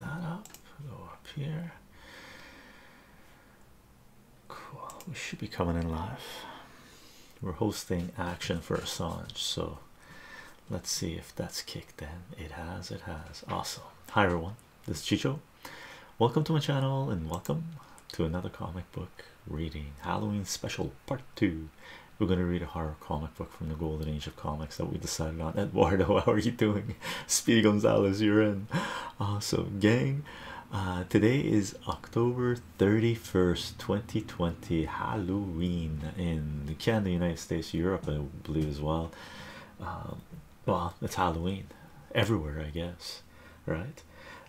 that up, go up here. Cool. We should be coming in live. We're hosting action for Assange, so let's see if that's kicked in. It has, it has. Awesome. Hi everyone, this is Chicho. Welcome to my channel and welcome to another comic book reading Halloween special part two. We're going to read a horror comic book from the golden age of comics that we decided on. Eduardo, how are you doing, Speedy Gonzalez, you're in. Awesome, gang. Uh, today is October 31st, 2020, Halloween in Canada, United States, Europe, I believe, as well. Um, well, it's Halloween everywhere, I guess, right?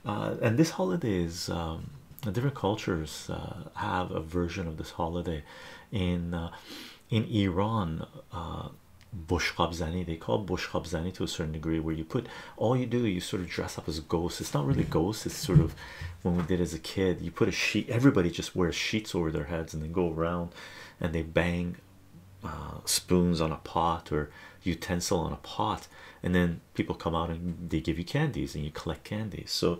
Uh, and this holiday is um, different cultures uh, have a version of this holiday in. in Iran, bush hobzani they call bush hobzani to a certain degree where you put all you do you sort of dress up as a ghost it's not really ghosts it's sort of when we did as a kid you put a sheet everybody just wears sheets over their heads and then go around and they bang uh, spoons on a pot or utensil on a pot and then people come out and they give you candies and you collect candies so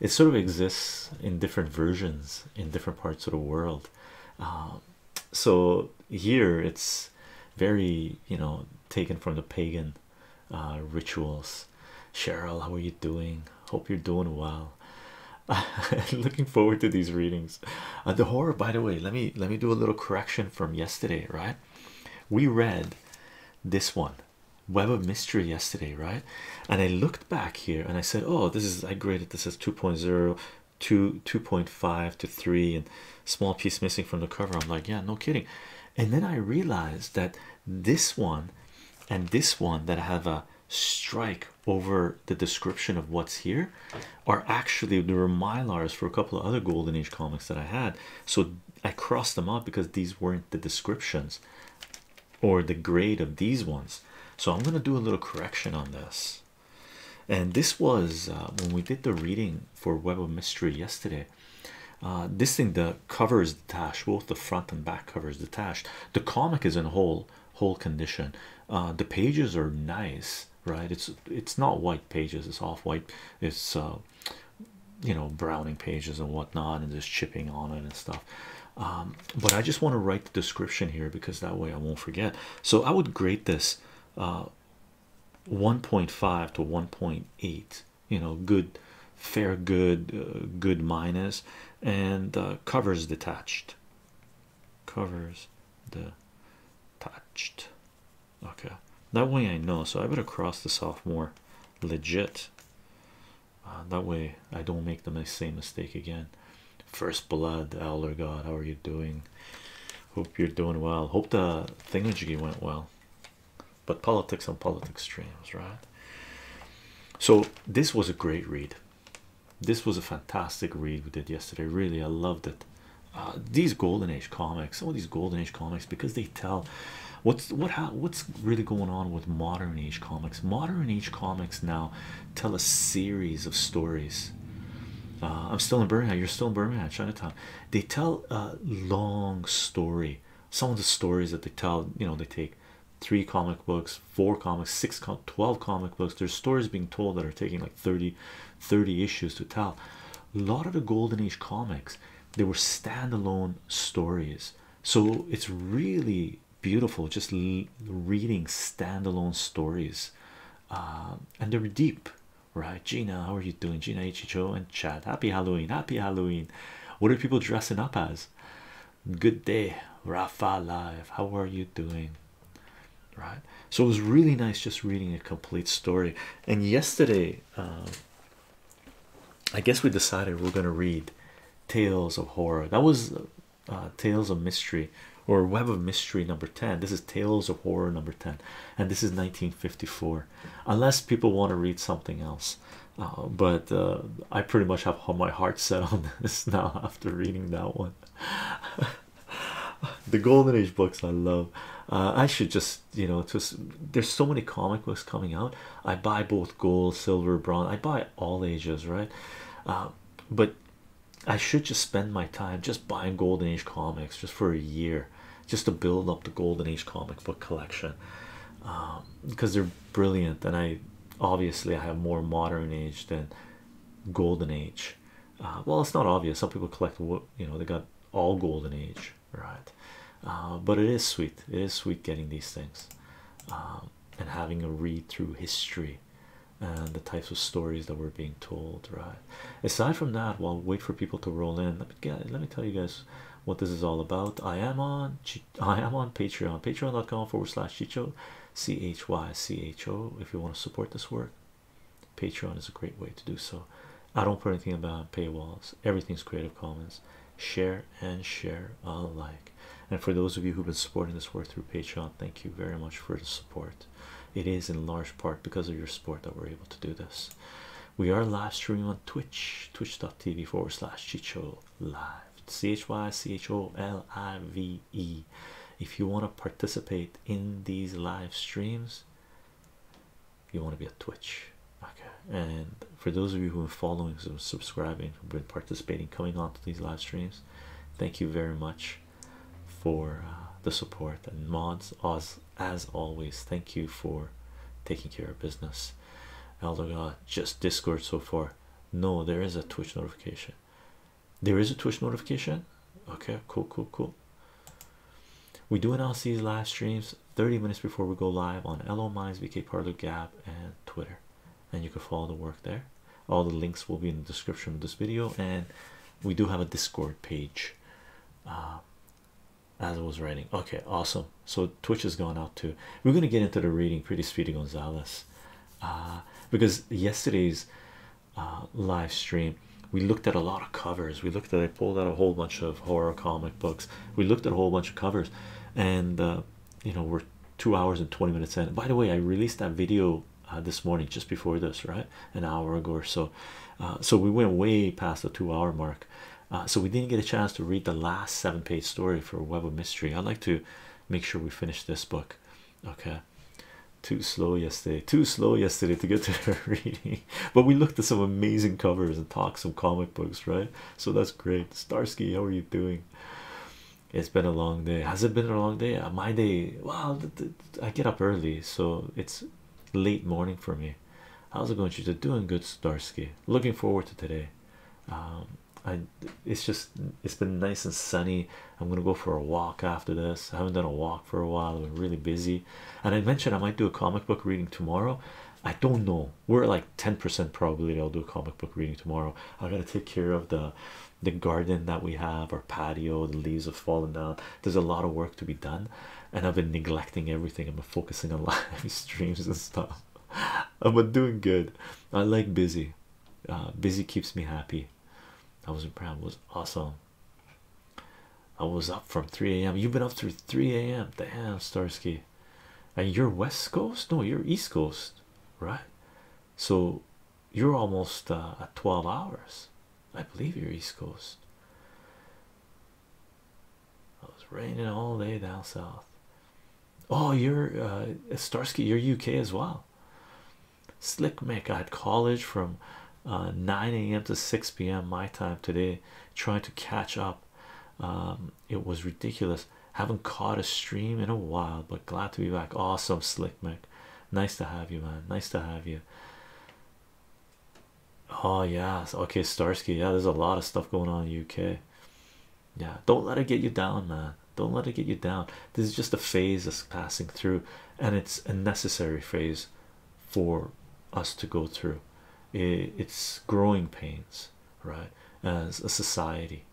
it sort of exists in different versions in different parts of the world um, so here it's very you know taken from the pagan uh, rituals. Cheryl, how are you doing? Hope you're doing well. Looking forward to these readings. Uh, the horror, by the way, let me let me do a little correction from yesterday, right? We read this one, Web of Mystery, yesterday, right? And I looked back here and I said, Oh, this is I graded this as 2.0, two 2.5 to 3 and small piece missing from the cover i'm like yeah no kidding and then i realized that this one and this one that have a strike over the description of what's here are actually there were mylars for a couple of other golden age comics that i had so i crossed them out because these weren't the descriptions or the grade of these ones so i'm going to do a little correction on this and this was uh, when we did the reading for Web of Mystery yesterday. Uh, this thing, the cover is detached, both the front and back cover is detached. The comic is in whole whole condition. Uh, the pages are nice, right? It's it's not white pages, it's off white, it's you know, browning pages and whatnot, and there's chipping on it and stuff. Um, but I just want to write the description here because that way I won't forget. So I would grade this uh, 1.5 to 1.8, you know, good, fair, good, uh, good minus, and uh, covers detached. Covers the, touched. Okay, that way I know. So I better cross this off more legit. that way I don't make the same mistake again. First Blood, Elder God, how are you doing? Hope you're doing well. Hope the thingamajiggy went well. But politics and politics streams, right? So this was a great read. This was a fantastic read we did yesterday. Really, I loved it. Uh, these golden age comics, some of these golden age comics, because they tell what's what what's really going on with modern age comics. Modern age comics now tell a series of stories. Uh, I'm still in Birmingham. You're still in Birmingham, Chinatown. They tell a long story. Some of the stories that they tell, you know, they take three comic books, four comics, six, 12 comic books. There's stories being told that are taking like 30, 30 issues to tell. A lot of the Golden Age comics, they were standalone stories. So it's really beautiful just reading standalone stories uh, and they were deep right gina how are you doing gina ichicho and Chad. happy halloween happy halloween what are people dressing up as good day rafa live how are you doing right so it was really nice just reading a complete story and yesterday um, i guess we decided we're going to read tales of horror that was uh, Tales of Mystery or Web of Mystery number 10. This is Tales of Horror number 10, and this is 1954. Unless people want to read something else, uh, but uh, I pretty much have my heart set on this now after reading that one. the Golden Age books I love. I should just you know, just there's so many comic books coming out. I buy both gold, silver, bronze, I buy all ages, right? but I should just spend my time just buying Golden Age comics just for a year, just to build up the Golden Age comic book collection, because um, they're brilliant. And I obviously I have more modern age than Golden Age. Uh, well, it's not obvious. Some people collect you know. They got all Golden Age, right? Uh, but it is sweet. It is sweet getting these things um, and having a read through history and the types of stories that we're being told right aside from that while well, wait for people to roll in let me get let me tell you guys what this is all about i am on i am on patreon patreon.com forward slash chicho c-h-y-c-h-o if you want to support this work patreon is a great way to do so i don't put anything about paywalls everything's creative commons share and share alike and for those of you who've been supporting this work through patreon thank you very much for the support it is in large part because of your support that we're able to do this. We are live streaming on Twitch, twitch.tv forward slash Chicho Live. C H Y C H O L I V E. If you want to participate in these live streams, you want to be a Twitch. Okay. And for those of you who have are following, subscribing, who've been participating, coming on to these live streams, thank you very much for uh, the support and mods as as always thank you for taking care of business elder just discord so far no there is a twitch notification there is a twitch notification okay cool cool cool we do announce these live streams 30 minutes before we go live on LO Minds, VK and Twitter. And you can follow the work there all the links will be in the description of this video and we do have a discord page uh, as I was writing okay awesome so twitch has gone out too we're going to get into the reading pretty speedy Gonzales, uh, because yesterday's uh, live stream we looked at a lot of covers we looked at i pulled out a whole bunch of horror comic books we looked at a whole bunch of covers and you know we're two hours and 20 minutes in by the way i released that video uh, this morning just before this right an hour ago or so uh, so we went way past the two hour mark uh, so we didn't get a chance to read the last seven page story for web of mystery i'd like to make sure we finish this book okay too slow yesterday too slow yesterday to get to her reading but we looked at some amazing covers and talked some comic books right so that's great starsky how are you doing it's been a long day has it been a long day my day Wow. I get up early, so it's late morning for me. How's it going? She's doing good, Starsky. Looking forward to today. Um, I it's just it's been nice and sunny. I'm gonna go for a walk after this. I haven't done a walk for a while, I've been really busy. And I mentioned I might do a comic book reading tomorrow. I don't know. We're like 10% probability I'll do a comic book reading tomorrow. I gotta take care of the the garden that we have, our patio, the leaves have fallen down. There's a lot of work to be done, and I've been neglecting everything. I've been focusing on live streams and stuff. I've uh, been doing good. I like busy. Uh, busy keeps me happy. I was proud. It was awesome. I was up from 3 a.m. You've been up through 3 a.m. Damn, Starsky. And you're West Coast? No, you're East Coast, right? So you're almost uh, at 12 hours. I believe you're East Coast. Oh, it was raining all day down south. Oh, you're uh, Starsky, you're UK as well. Slick Mac, I had college from uh, 9 a.m. to 6 p.m. my time today, trying to catch up. Um, it was ridiculous. Haven't caught a stream in a while, but glad to be back. Awesome, Slick Mac. Nice to have you, man. Nice to have you. Oh yeah, okay, Starsky. Yeah, there's a lot of stuff going on in the UK. Yeah, don't let it get you down, man. Don't let it get you down. This is just a phase that's passing through, and it's a necessary phase for us to go through. It's growing pains, right? As a society,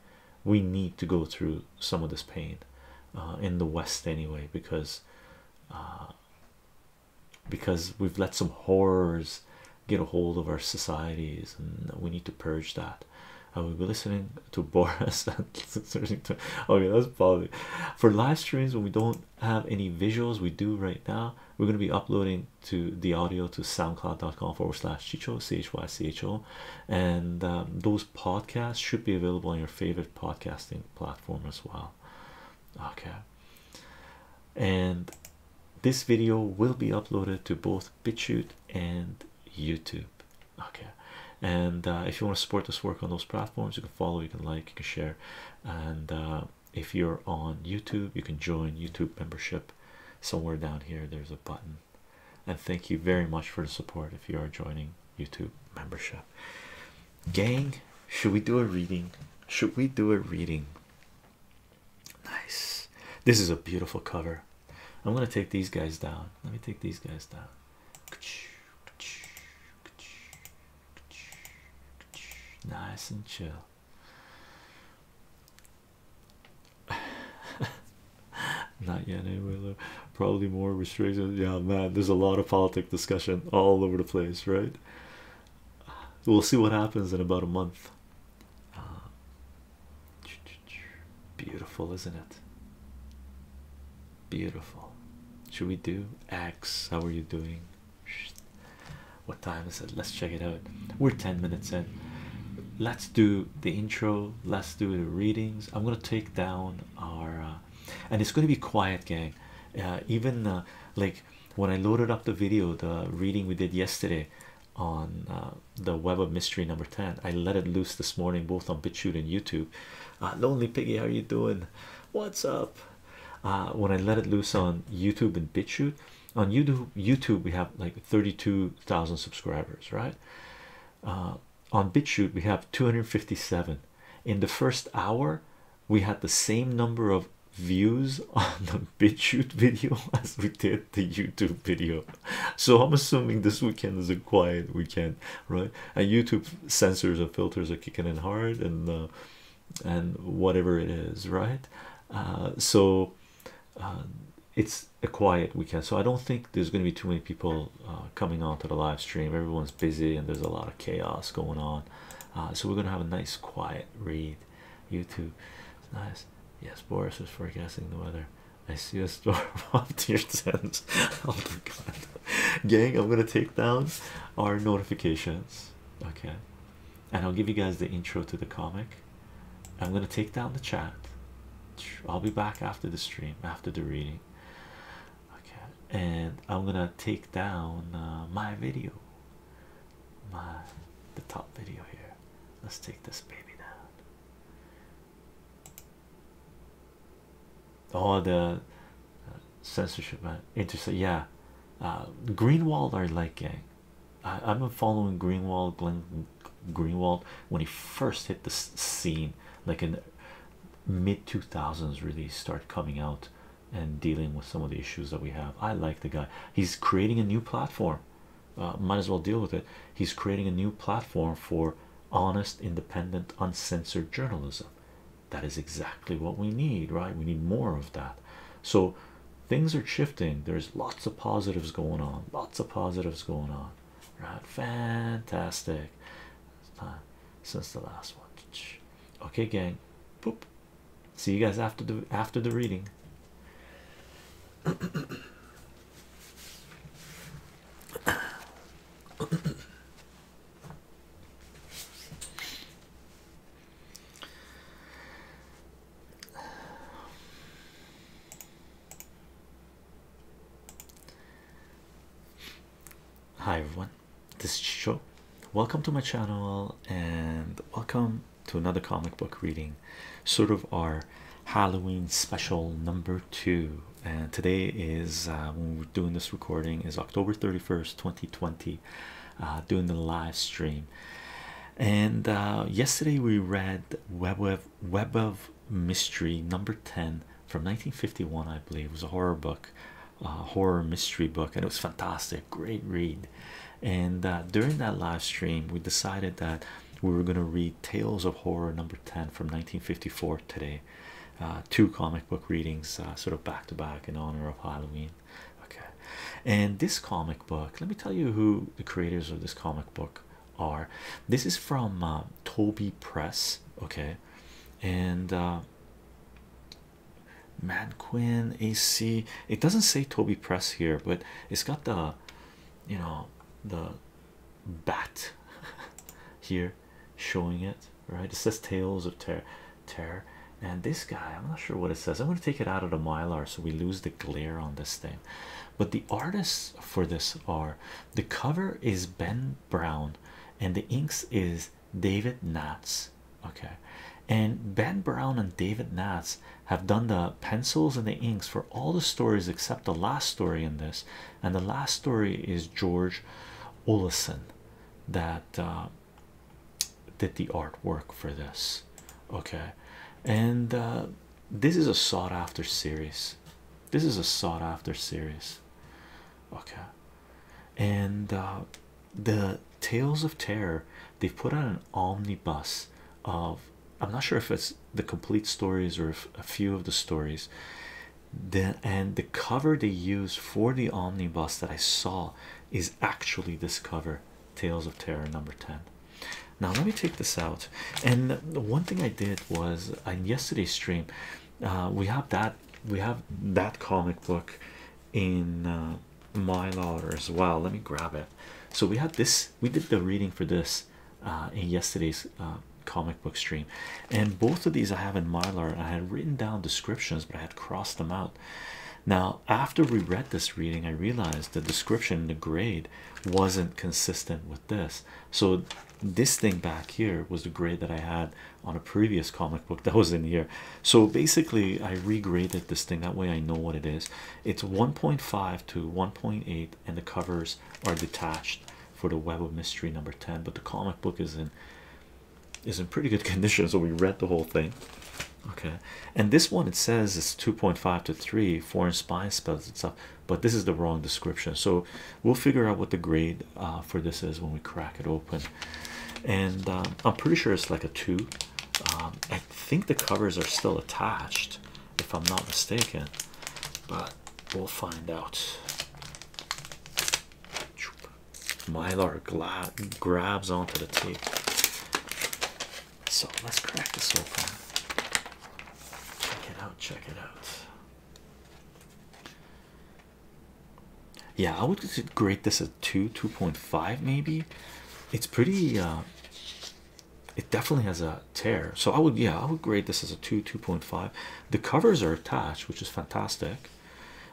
we need to go through some of this pain uh, in the West anyway, because uh, because we've let some horrors get a hold of our societies and we need to purge that. I will be listening to Boris. okay, that's probably for live streams when we don't have any visuals. We do right now. We're going to be uploading to the audio to soundcloud.com forward slash chicho chycho, and um, those podcasts should be available on your favorite podcasting platform as well okay and this video will be uploaded to both BitChute and YouTube okay and uh, if you want to support this work on those platforms you can follow you can like you can share and uh, if you're on YouTube you can join YouTube membership somewhere down here there's a button and thank you very much for the support if you are joining YouTube membership. Gang, should we do a reading? Should we do a reading? Nice. This is a beautiful cover. I'm gonna take these guys down. Let me take these guys down. Nice and chill. Not yet, anyway. Eh, probably more restricted yeah man there's a lot of politic discussion all over the place right we'll see what happens in about a month uh, beautiful isn't it beautiful should we do x how are you doing what time is it let's check it out we're 10 minutes in let's do the intro let's do the readings i'm going to take down our uh, and it's going to be quiet gang uh, even uh, like when i loaded up the video the reading we did yesterday on uh, the web of mystery number 10 i let it loose this morning both on bitchute and youtube lonely piggy how are you doing what's up when i let it loose on youtube and bitchute on youtube we have like 32000 subscribers right on bitchute we have 257 in the first hour we had the same number of views on the BitChute video as we did the YouTube video. So I'm assuming this weekend is a quiet weekend, right? And YouTube sensors and filters are kicking in hard and uh, and whatever it is, right? Uh, so uh, it's a quiet weekend, so I don't think there's going to be too many people uh, coming onto the live stream. Everyone's busy and there's a lot of chaos going on. Uh, so we're gonna have a nice quiet read. YouTube, nice. Yes, Boris was forecasting the weather. I see a storm on tier 10. Oh my god, gang! I'm gonna take down our notifications, okay? And I'll give you guys the intro to the comic. I'm gonna take down the chat. I'll be back after the stream, after the reading okay and i'm gonna take down uh, my video my the top video here let's take this baby down All the uh, censorship man uh, interesting yeah uh greenwald I like gang I, i've been following greenwald glenn greenwald when he first hit the scene like in mid 2000s really start coming out and dealing with some of the issues that we have. I like the guy, he's creating a new platform. Uh, might as well deal with it. He's creating a new platform for honest, independent, uncensored journalism. That is exactly what we need, right? We need more of that. So things are shifting. There's lots of positives going on, lots of positives going on, right? Fantastic time since the last one. Okay, gang. Boop. See you guys after the after the reading. Hi everyone this show welcome to my channel and welcome to another comic book reading sort of our halloween special number two and today is uh, when we're doing this recording is october 31st 2020 uh, doing the live stream and uh, yesterday we read web of web of mystery number 10 from 1951 i believe was a horror book horror mystery book, and it was fantastic, great read. And uh, during that live stream, we decided that we were going to read Tales of Horror number 10 from 1954 today, uh, two comic book readings, uh, sort of back to back in honor of Halloween. Okay, and this comic book, let me tell you who the creators of this comic book are. This is from Toby Press, okay, and Man Quinn AC. It doesn't say Toby Press here, but it's got the you know the bat here showing it right. It says Tales of Terror, Terror, and this guy. I'm not sure what it says. I'm going to take it out of the mylar so we lose the glare on this thing. But the artists for this are the cover is Ben Brown, and the inks is David Natz. Okay, and Ben Brown and David Natz have done the pencils and the inks for all the stories except the last story in this, and the last story is George Olison that uh, did the artwork for this. Okay, and uh, this is a sought after series. This is a sought after series. Okay, and uh, the tales of terror they've put out an omnibus of i'm not sure if it's the complete stories or if a few of the stories the and the cover they use for the omnibus that i saw is actually this cover tales of terror number 10 now let me take this out and the one thing i did was in yesterday's stream uh, we have that we have that comic book in uh, my lauder as well let me grab it so we had this we did the reading for this uh, in yesterday's uh, comic book stream and both of these i have in mylar i had written down descriptions but i had crossed them out now after we read this reading i realized the description and the grade wasn't consistent with this so this thing back here was the grade that i had on a previous comic book that was in here. So basically, I regraded this thing that way I know what it is. It's 1.5 to 1.8, and the covers are detached for the Web of Mystery number 10. But the comic book is in is in pretty good condition, so we read the whole thing. Okay, and this one it says it's 2.5 to 3 foreign spy spells and stuff, but this is the wrong description. So we'll figure out what the grade uh, for this is when we crack it open. And uh, I'm pretty sure it's like a two. Um, I think the covers are still attached, if I'm not mistaken, but we'll find out. Mylar grabs onto the tape. So let's crack this open. Check it out, check it out yeah i would grade this at 2 2.5 maybe it's pretty uh, it definitely has a tear so i would yeah i would grade this as a 2 2.5 the covers are attached which is fantastic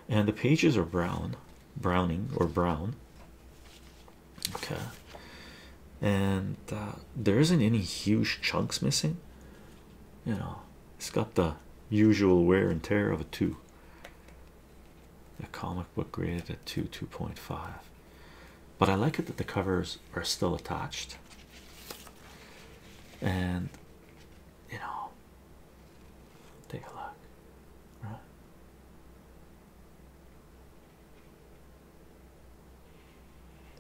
and the pages are brown browning or brown okay and uh, there isn't any huge chunks missing you know it's got the usual wear and tear of a two a comic book graded at 2 2.5 but i like it that the covers are still attached and you know take a look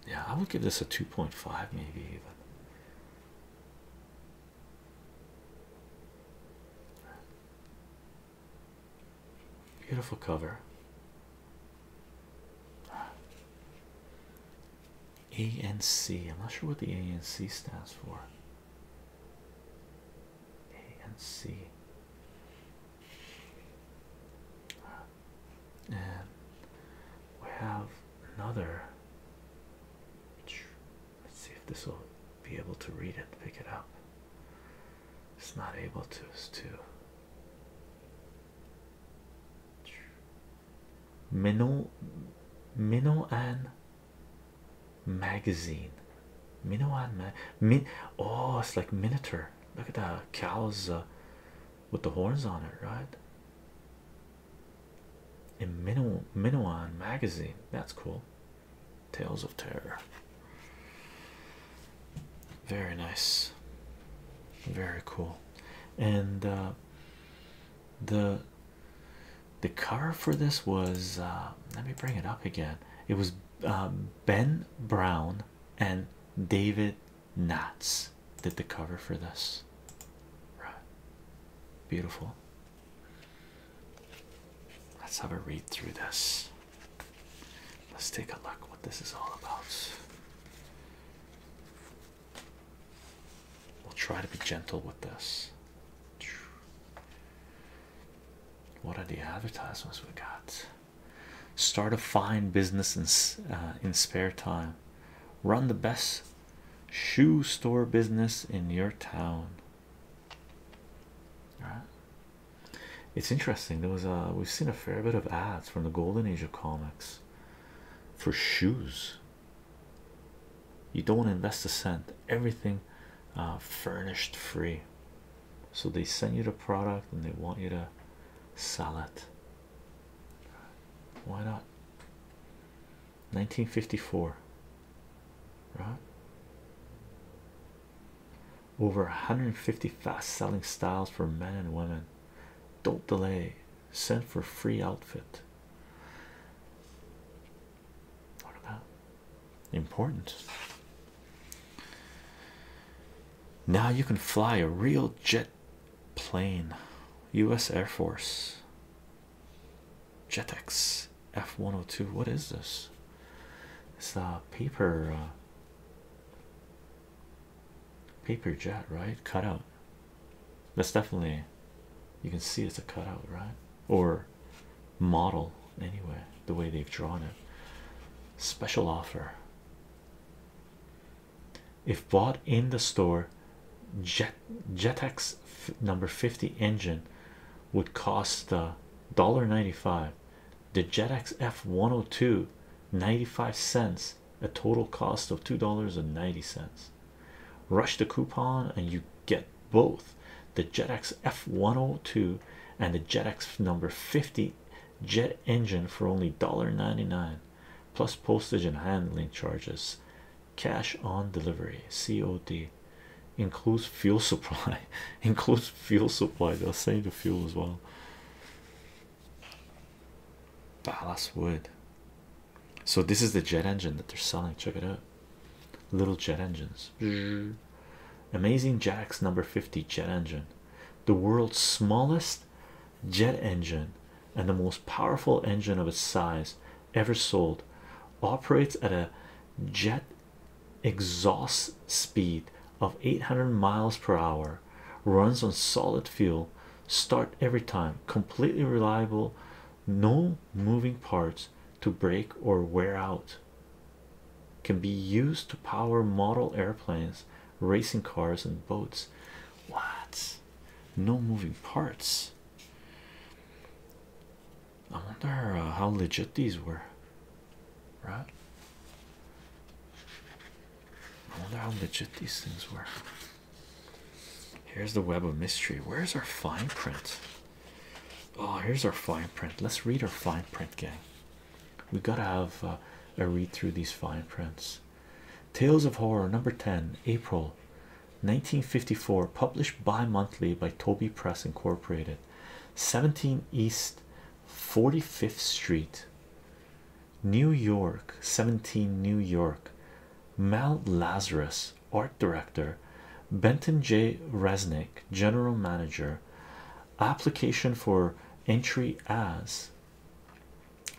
yeah i would give this a 2.5 maybe even Beautiful cover. A N am not sure what the ANC stands for. ANC. And we have another. Let's see if this will be able to read it, pick it up. It's not able to, it's too. Minnow, Minnow and Magazine. Minnow and Min. Oh, it's like Minotaur. Look at that cows uh, with the horns on it, right? In Minnow, Minnowan magazine, that's cool. Tales of Terror. Very nice, very cool, and uh, the the cover for this was uh, let me bring it up again. It was uh, Ben Brown and David Knatz did the cover for this. Right, beautiful, Let's have a read through this. Let's take a look what this is all about. We'll try to be gentle with this. What are the advertisements we got? Start a fine business in, uh, in spare time. Run the best shoe store business in your town. Right. It's interesting. There was a we've seen a fair bit of ads from the golden age of comics for shoes. You don't invest a cent. Everything uh, furnished free. So they send you the product and they want you to sell it. Why not? 1954 right? Over 150 fast selling styles for men and women. Don't delay, send for free outfit. What about important? Now you can fly a real jet plane, US Air Force. Jetex F102. What is this? It's a paper uh, paper jet, right? Cutout. That's definitely you can see it's a cutout, right? Or model anyway, the way they've drawn it. Special offer. If bought in the store, Jet Jetex number 50 engine would cost uh, $1.95 the jetx f102 95 cents a total cost of $2.90 rush the coupon and you get both the jetx f102 and the jetx number 50 jet engine for only $1.99 plus postage and handling charges cash on delivery cod includes fuel supply includes fuel supply they'll say the fuel as well ballast ah, wood so this is the jet engine that they're selling check it out little jet engines amazing jacks number 50 jet engine the world's smallest jet engine and the most powerful engine of its size ever sold operates at a jet exhaust speed of 800 miles per hour runs on solid fuel start every time completely reliable no moving parts to break or wear out can be used to power model airplanes racing cars and boats what no moving parts I wonder uh, how legit these were, right? I wonder how legit these things were. Here's the web of mystery. Where's our fine print? Oh, here's our fine print. Let's read our fine print, gang. We gotta have uh, a read through these fine prints. Tales of Horror, number 10, April 1954, published bi monthly by Toby Press Incorporated. 17 east 45th street new york 17 new york mount lazarus art director benton j resnick general manager application for entry as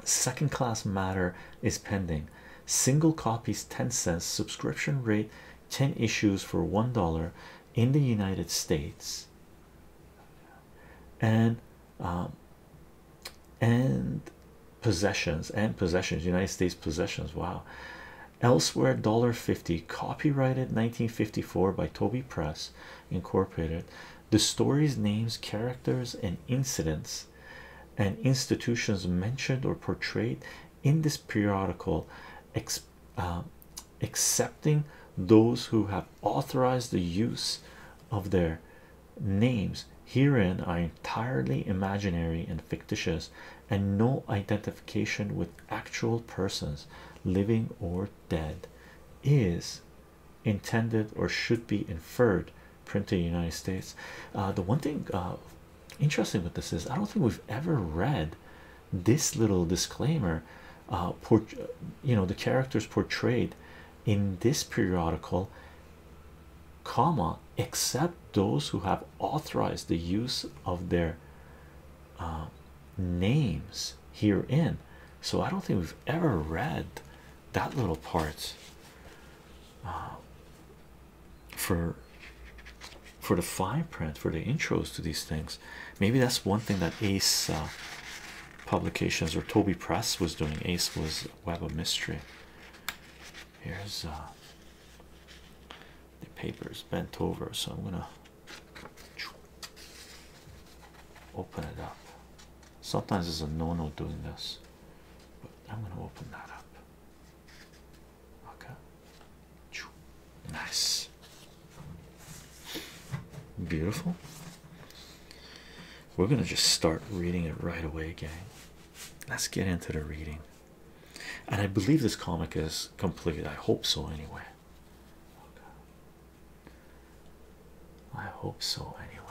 second class matter is pending single copies 10 cents subscription rate 10 issues for one dollar in the United States and um, and possessions and possessions United States possessions wow elsewhere dollar 50 copyrighted 1954 by Toby Press Incorporated the stories names characters and incidents and institutions mentioned or portrayed in this periodical uh, accepting those who have authorized the use of their names herein are entirely imaginary and fictitious and no identification with actual persons living or dead is intended or should be inferred printed in the united states uh, the one thing uh, interesting with this is i don't think we've ever read this little disclaimer uh you know the characters portrayed in this periodical comma except those who have authorized the use of their uh, names herein so i don't think we've ever read that little part uh, for for the fine print for the intros to these things. Maybe that's one thing that Ace uh, Publications or Toby Press was doing. Ace was Web of Mystery. Here's uh, the papers bent over, so I'm gonna open it up. Sometimes it's a no no doing this, but I'm gonna open that up. Okay. Nice. Beautiful. We're going to just start reading it right away, gang. Let's get into the reading. And I believe this comic is complete. I hope so, anyway. I hope so, anyway.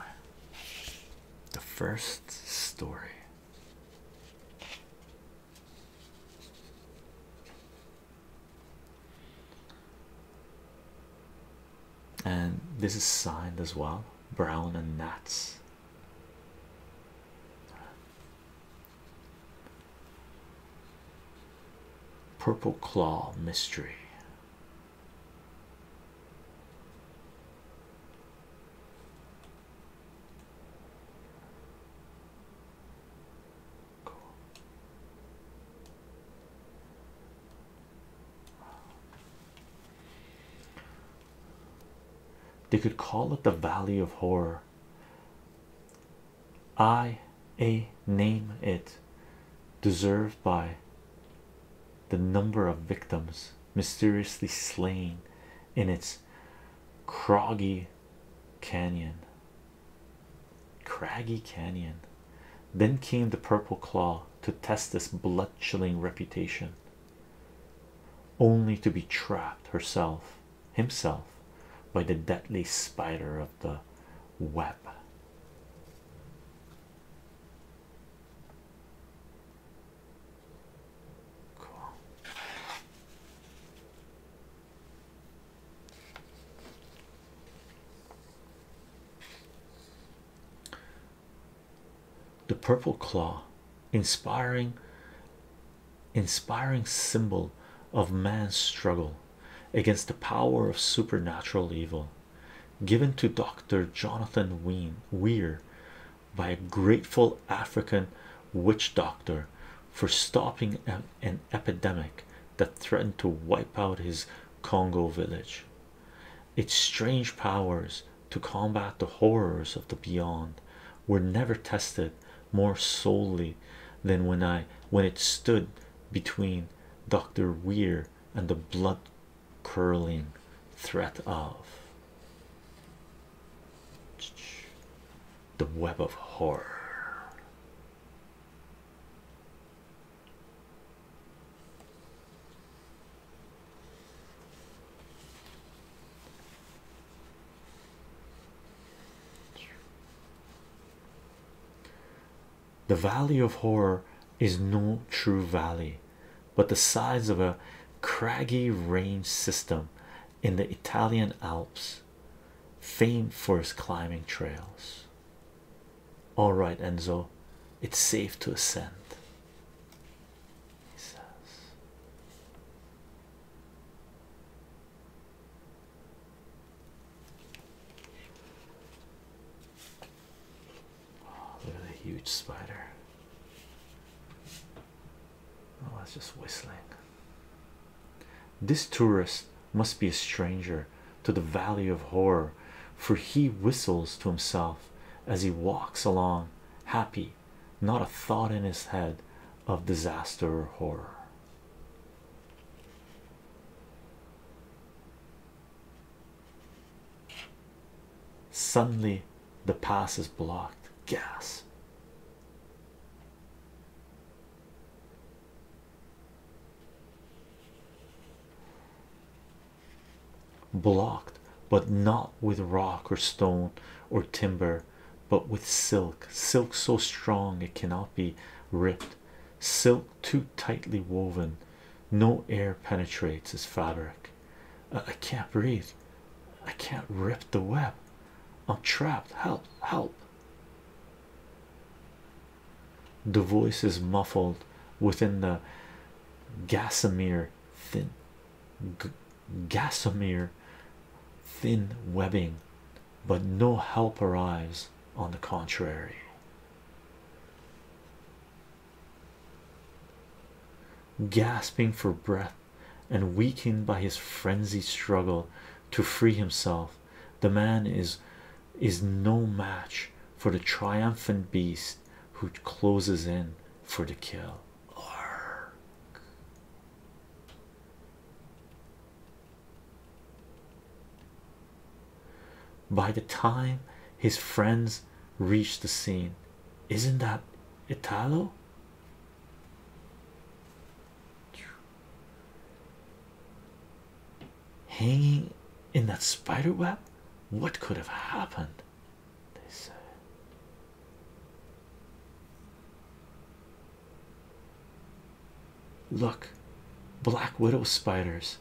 The first story. And this is signed as well, Brown and Nats. Purple Claw Mystery. They could call it the Valley of Horror. I a name it deserved by the number of victims mysteriously slain in its croggy canyon Craggy Canyon. Then came the Purple Claw to test this blood chilling reputation, only to be trapped herself himself by the deadly spider of the web. The purple claw, inspiring, inspiring symbol of man's struggle against the power of supernatural evil, given to Dr. Jonathan Ween Weir by a grateful African witch doctor for stopping a an epidemic that threatened to wipe out his Congo village. Its strange powers to combat the horrors of the beyond were never tested more solely than when I when it stood between Dr. Weir and the blood curling threat of the web of horror. The valley of horror is no true valley, but the sides of a craggy range system in the Italian Alps famed for his climbing trails. All right, Enzo, it's safe to ascend. Oh, look at the huge spider. Oh, it's just whistling. This tourist must be a stranger to the valley of horror, for he whistles to himself as he walks along, happy, not a thought in his head of disaster or horror. Suddenly, the pass is blocked. Gas blocked but not with rock or stone or timber but with silk silk so strong it cannot be ripped silk too tightly woven no air penetrates its fabric i, I can't breathe i can't rip the web i'm trapped help help the voice is muffled within the gasamere thin g thin webbing, but no help arrives on the contrary. Gasping for breath and weakened by his frenzied struggle to free himself, the man is is no match for the triumphant beast who closes in for the kill by the time his friends reach the scene isn't that italo Hanging in that spider web, what could have happened? They said. Look, black widow spiders.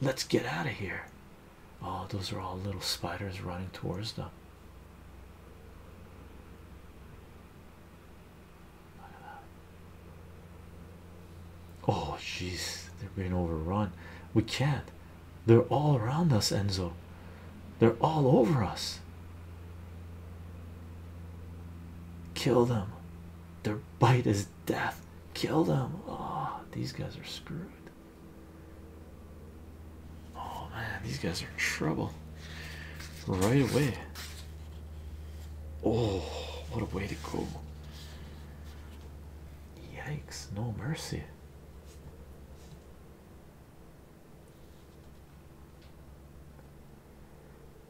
let's get out of here. Oh, those are all little spiders running towards them. Oh, jeez, they're being overrun. We can't. They're all around us, Enzo. They're all over us. Kill them. Their bite is death. Kill them. Oh, these guys are screwed. Oh man, these guys are in trouble right away. Oh, what a way to go! Yikes, no mercy.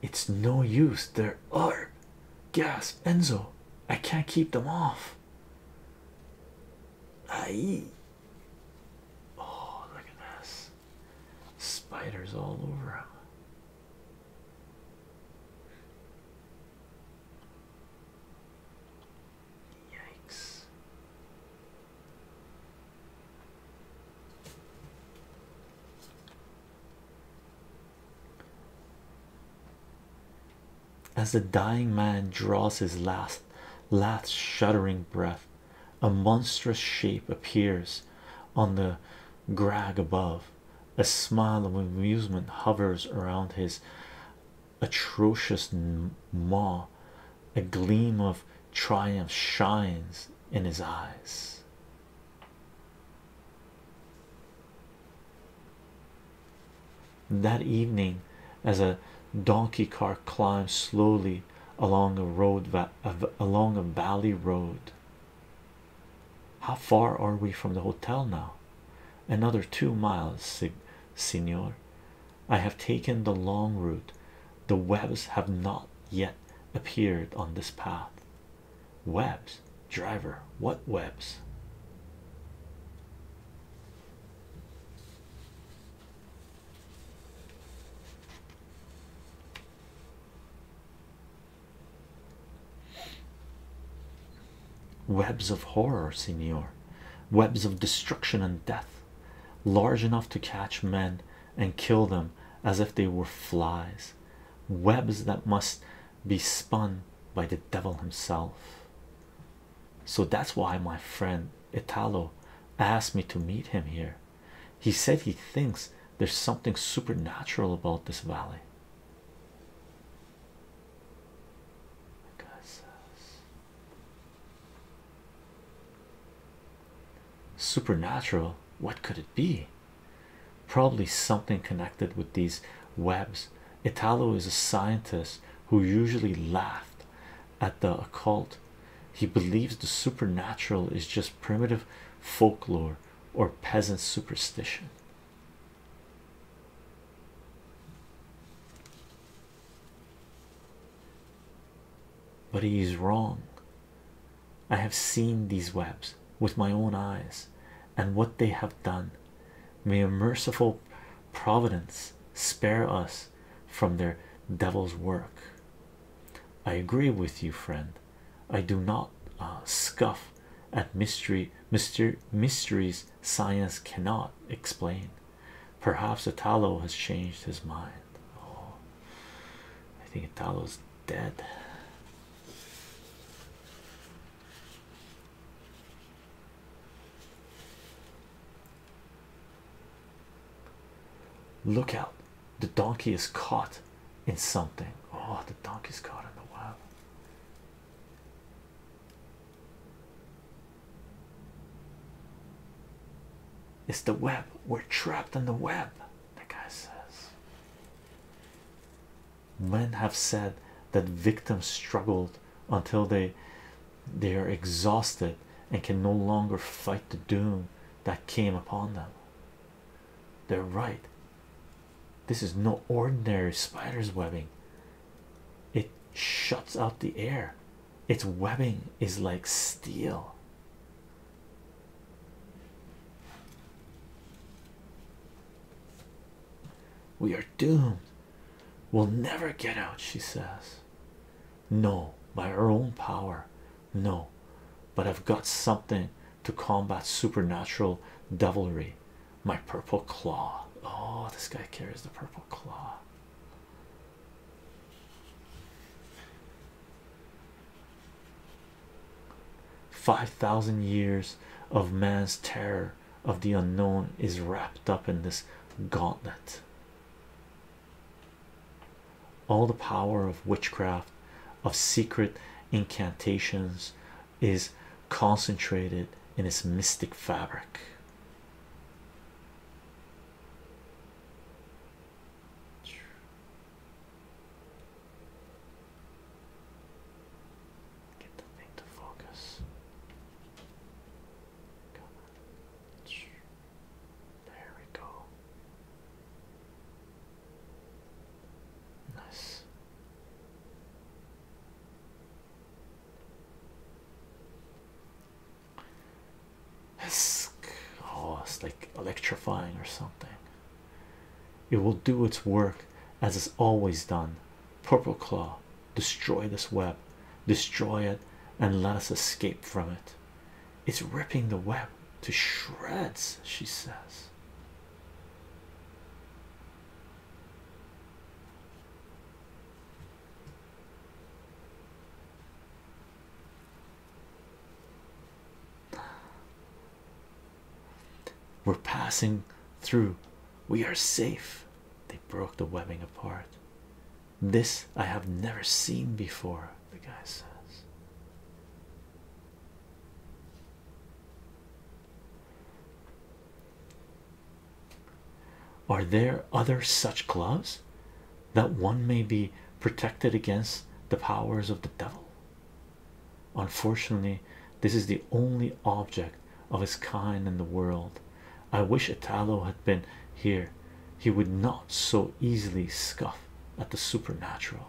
It's no use. There are gas, Enzo. I can't keep them off. I. Oh, look at this. Spiders all over him. Yikes. As the dying man draws his last, last shuddering breath, a monstrous shape appears on the Grag above, a smile of amusement hovers around his atrocious maw, a gleam of triumph shines in his eyes. That evening, as a donkey cart climbs slowly along a road, along a valley road, how far are we from the hotel now? Another two miles, Signor. I have taken the long route. The webs have not yet appeared on this path. Webs, driver, what webs? Webs of horror, senor, webs of destruction and death, large enough to catch men and kill them as if they were flies, webs that must be spun by the devil himself. So that's why my friend Italo asked me to meet him here. He said he thinks there's something supernatural about this valley. Uh, supernatural, what could it be? Probably something connected with these webs. Italo is a scientist who usually laughed at the occult. He believes the supernatural is just primitive folklore or peasant superstition. But he is wrong. I have seen these webs with my own eyes and what they have done. May a merciful providence spare us from their devil's work. I agree with you, friend. I do not uh, scuff at mystery, myster mysteries science cannot explain. Perhaps Italo has changed his mind. Oh, I think Italo's dead. Look out, the donkey is caught in something. Oh, the donkey's caught in the web. It's the web. We're trapped in the web, the guy says. Men have said that victims struggled until they they are exhausted and can no longer fight the doom that came upon them. They're right. This is no ordinary spider's webbing. It shuts out the air. Its webbing is like steel. We are doomed. We'll never get out, she says. No, by our own power. No, but I've got something to combat supernatural devilry. My purple claw. Oh, this guy carries the purple claw. Five thousand years of man's terror of the unknown is wrapped up in this gauntlet. All the power of witchcraft, of secret incantations, is concentrated in its mystic fabric. Get the thing to focus. There we go. Nice. Oh, it's like electrifying or something. It will do its work as it's always done. Purple Claw, destroy this web, destroy it, and let us escape from it. It's ripping the web to shreds, she says. We're passing through, we are safe. They broke the webbing apart. This I have never seen before, the guy says. Are there other such gloves that one may be protected against the powers of the devil? Unfortunately, this is the only object of its kind in the world. I wish Italo had been here, he would not so easily scoff at the supernatural.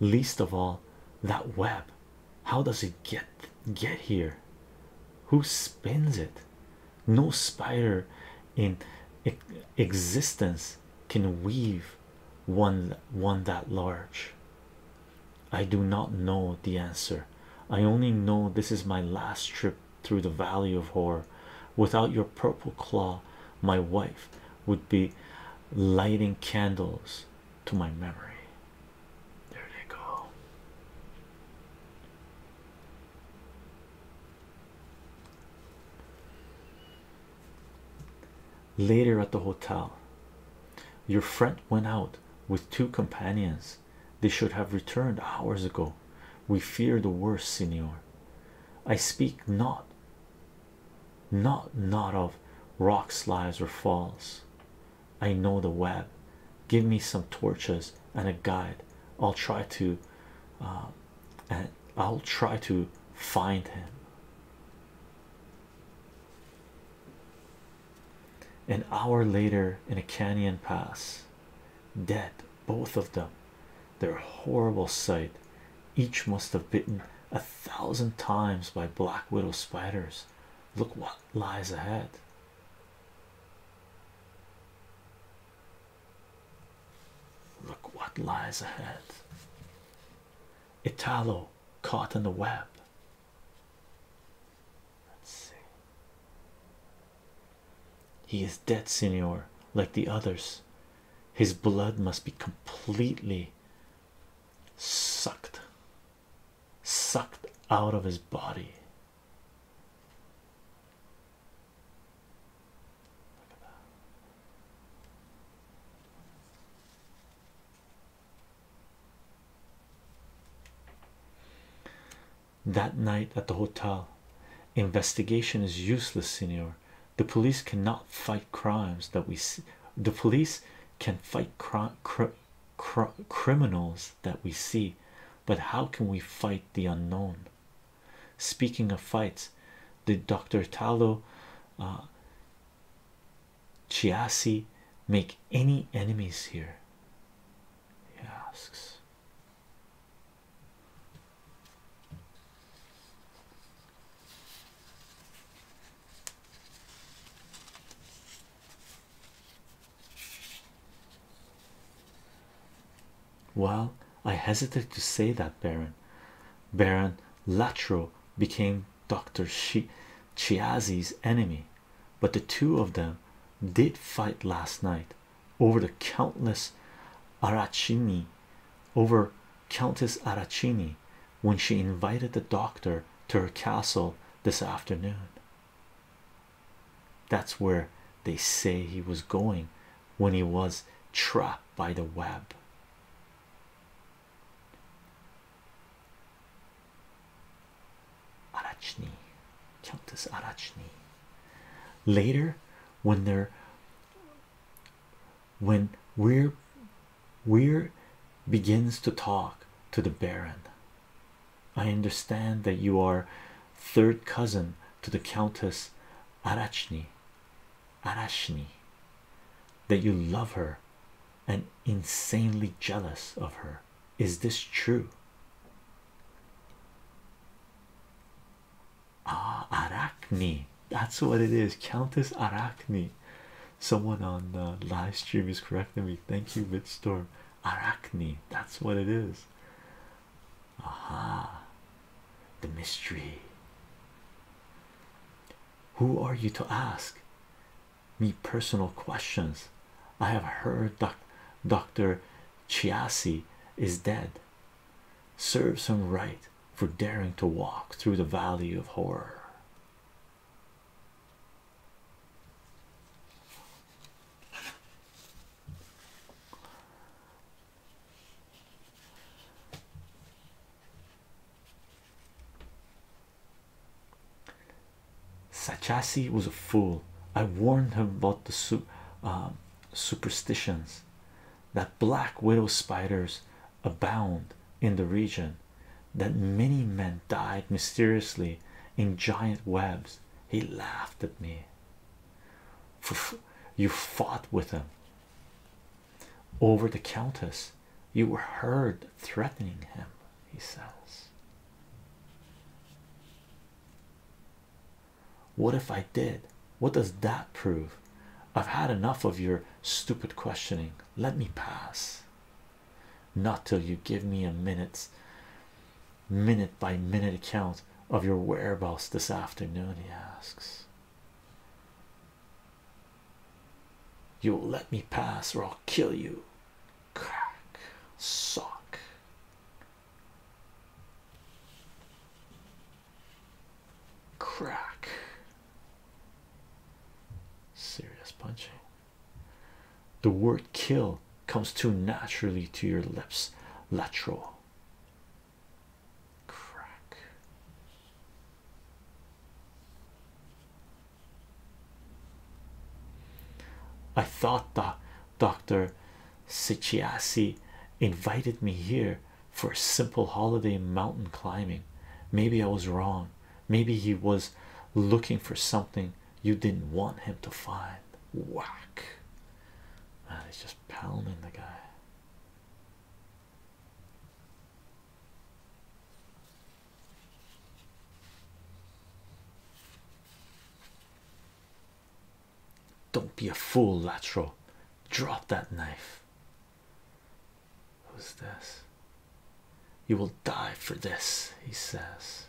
Least of all, that web. How does it get get here? Who spins it? No spider in existence can weave one one that large. I do not know the answer. I only know this is my last trip through the valley of horror. Without your purple claw, my wife would be lighting candles to my memory. There they go. Later at the hotel, your friend went out with two companions they should have returned hours ago. We fear the worst, Signor. I speak not, not, not of rock slides or falls. I know the web. Give me some torches and a guide. I'll try to, uh, and I'll try to find him. An hour later, in a canyon pass, dead both of them. their horrible sight. Each must have bitten a thousand times by black widow spiders. Look what lies ahead. Look what lies ahead. Italo caught in the web. Let's see. He is dead, Senor, like the others. His blood must be completely sucked, sucked out of his body that night at the hotel. Investigation is useless, senor. The police cannot fight crimes that we see. The police can fight cr criminals that we see, but how can we fight the unknown? Speaking of fights, did Dr. Talo uh, Chiasi make any enemies here? He asks. Well, I hesitated to say that Baron Baron Latro became Dr. Chi Chiazzi's enemy, but the two of them did fight last night over the Countess Arachini, over Countess Arachini, when she invited the doctor to her castle this afternoon. That's where they say he was going when he was trapped by the web. Arachni, Countess Arachni. Later, when they when we're we're begins to talk to the Baron, I understand that you are third cousin to the Countess Arachni, Arachni. that you love her and insanely jealous of her. Is this true? Ah, Arachne. That's what it is. Countess Arachne. Someone on the live stream is correcting me. Thank you, Bitstorm. Arachne. That's what it is. Aha. The mystery. Who are you to ask me personal questions? I have heard that Dr. Chiasi is dead serves him right for daring to walk through the valley of horror. Sachasi was a fool. I warned him about the uh, superstitions that black widow spiders abound in the region, that many men died mysteriously in giant webs. He laughed at me. You fought with him over the countess, you were heard threatening him, he says. What if I did? What does that prove? I've had enough of your stupid questioning. Let me pass. Not till you give me a minute's minute by minute account of your whereabouts this afternoon, he asks. You will let me pass, or I'll kill you. Crack, sock. Crack. Serious punching. The word kill comes too naturally to your lips. Lateral. Crack. I thought that. Dr. Sichiasi invited me here for a simple holiday mountain climbing. Maybe I was wrong. Maybe he was looking for something you didn't want him to find. Whack. Man, he's just pounding the guy. Don't be a fool, Latro. Drop that knife. Who's this? You will die for this, he says.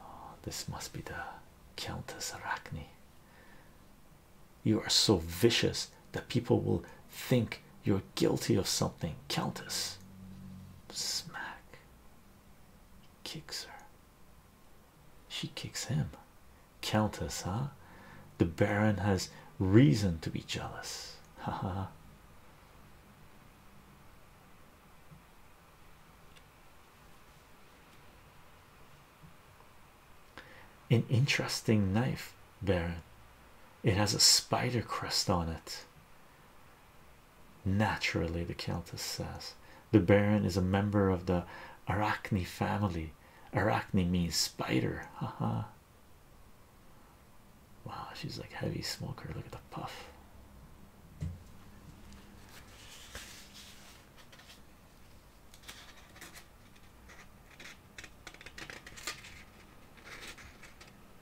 Oh, this must be the Countess Arachne. You are so vicious that people will think you're guilty of something, Countess. Smack. Kicks her. She kicks him. Countess, huh? The Baron has reason to be jealous. Ha ha. An interesting knife, Baron. It has a spider crest on it. Naturally, the Countess says. The Baron is a member of the Arachne family. Arachne means spider. Aha!" wow, she's like heavy smoker. Look at the puff.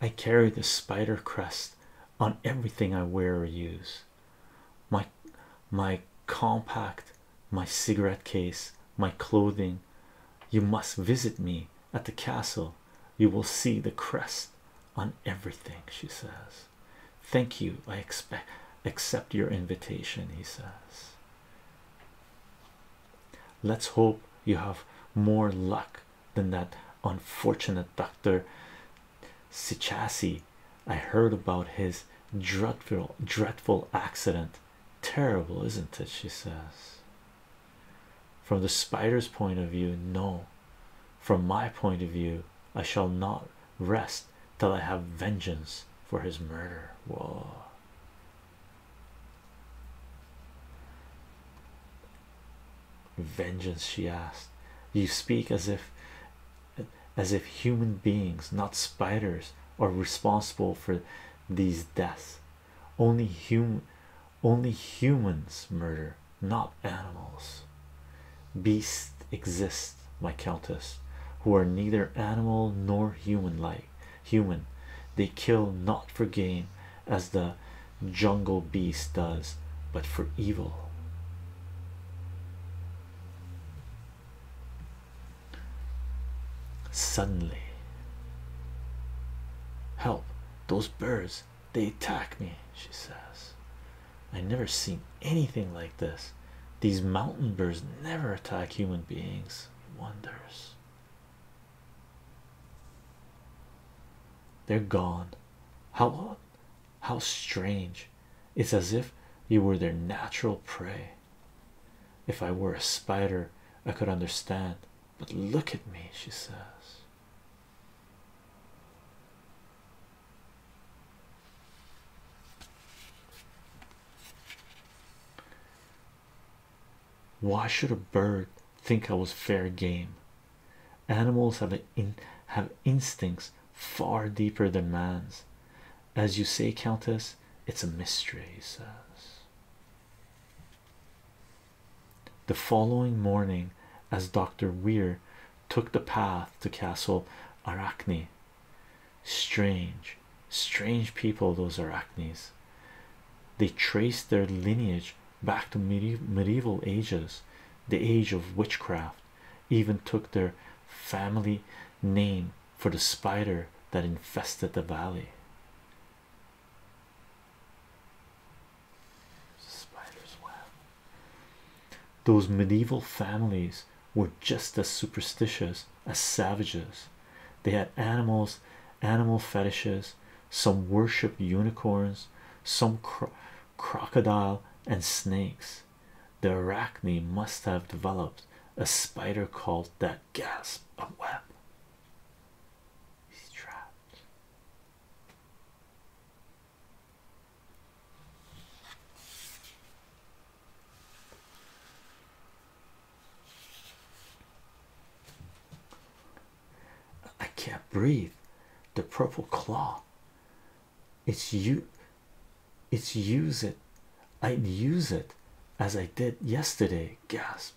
I carry the spider crest on everything I wear or use. My my compact, my cigarette case, my clothing. You must visit me at the castle. You will see the crest on everything, she says. Thank you. I expect accept your invitation, he says. Let's hope you have more luck than that unfortunate Dr. Sichassi. I heard about his dreadful, dreadful accident. Terrible, isn't it? She says. From the spider's point of view, no. From my point of view, I shall not rest till I have vengeance for his murder. Whoa vengeance she asked you speak as if as if human beings not spiders are responsible for these deaths only human only humans murder not animals beasts exist my countess who are neither animal nor human like human they kill not for gain as the jungle beast does, but for evil. Suddenly, help those birds, they attack me, she says. I never seen anything like this. These mountain birds never attack human beings, wonders. They're gone. How long? How strange! It's as if you were their natural prey. If I were a spider, I could understand, but look at me, she says. Why should a bird think I was fair game? Animals have in have instincts far deeper than man's. As you say, Countess, it's a mystery, he says. The following morning, as Dr. Weir took the path to Castle Arachne, strange, strange people, those Arachnes. They traced their lineage back to medieval ages, the age of witchcraft, even took their family name for the spider that infested the valley. Those medieval families were just as superstitious as savages. They had animals, animal fetishes. Some worshipped unicorns. Some cr crocodile, and snakes. The arachne must have developed a spider called that gasp a web. He's trapped. I can't breathe. The purple claw it's you it's use it i'd use it as i did yesterday gasp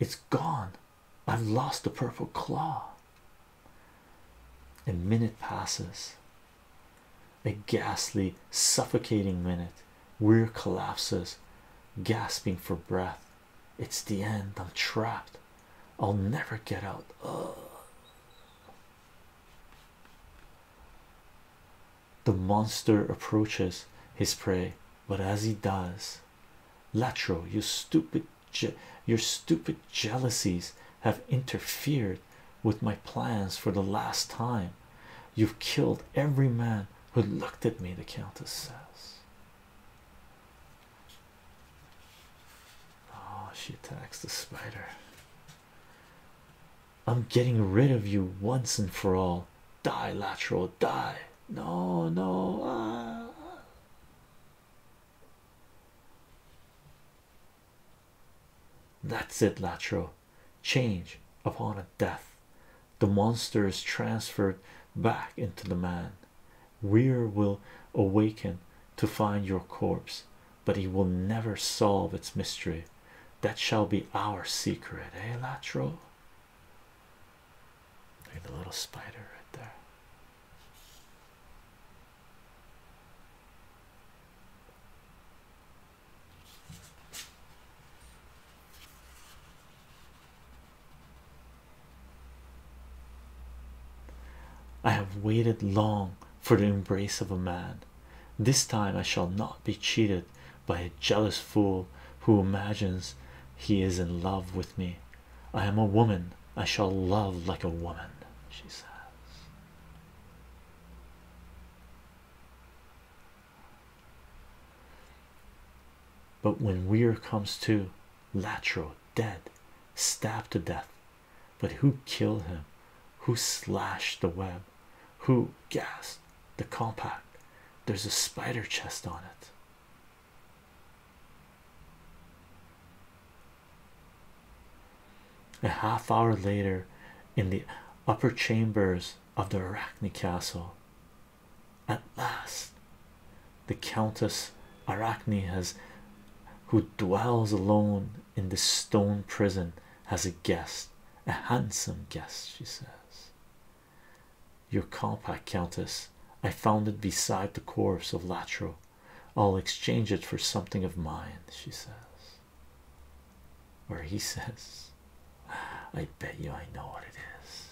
it's gone i've lost the purple claw a minute passes a ghastly suffocating minute weir collapses gasping for breath it's the end i'm trapped i'll never get out Ugh. The monster approaches his prey, but as he does, Latro, you stupid, your stupid jealousies have interfered with my plans for the last time. You've killed every man who looked at me, the Countess says. Oh, she attacks the spider. I'm getting rid of you once and for all. Die, Latro. die. No, no. Ah. That's it, Latro. Change upon a death. The monster is transferred back into the man. Weir will awaken to find your corpse but he will never solve its mystery. That shall be our secret, eh, Latro? Look at the little spider right there. I have waited long for the embrace of a man. This time I shall not be cheated by a jealous fool who imagines he is in love with me. I am a woman, I shall love like a woman, she says. But when Weir comes to, Latro dead, stabbed to death, but who killed him? Who slashed the web? Who gasped the compact? There's a spider chest on it. A half hour later, in the upper chambers of the Arachne Castle, at last the Countess Arachne has who dwells alone in the stone prison has a guest, a handsome guest, she says. Your compact, Countess. I found it beside the corpse of Latro. I'll exchange it for something of mine, she says. Or he says, I bet you I know what it is.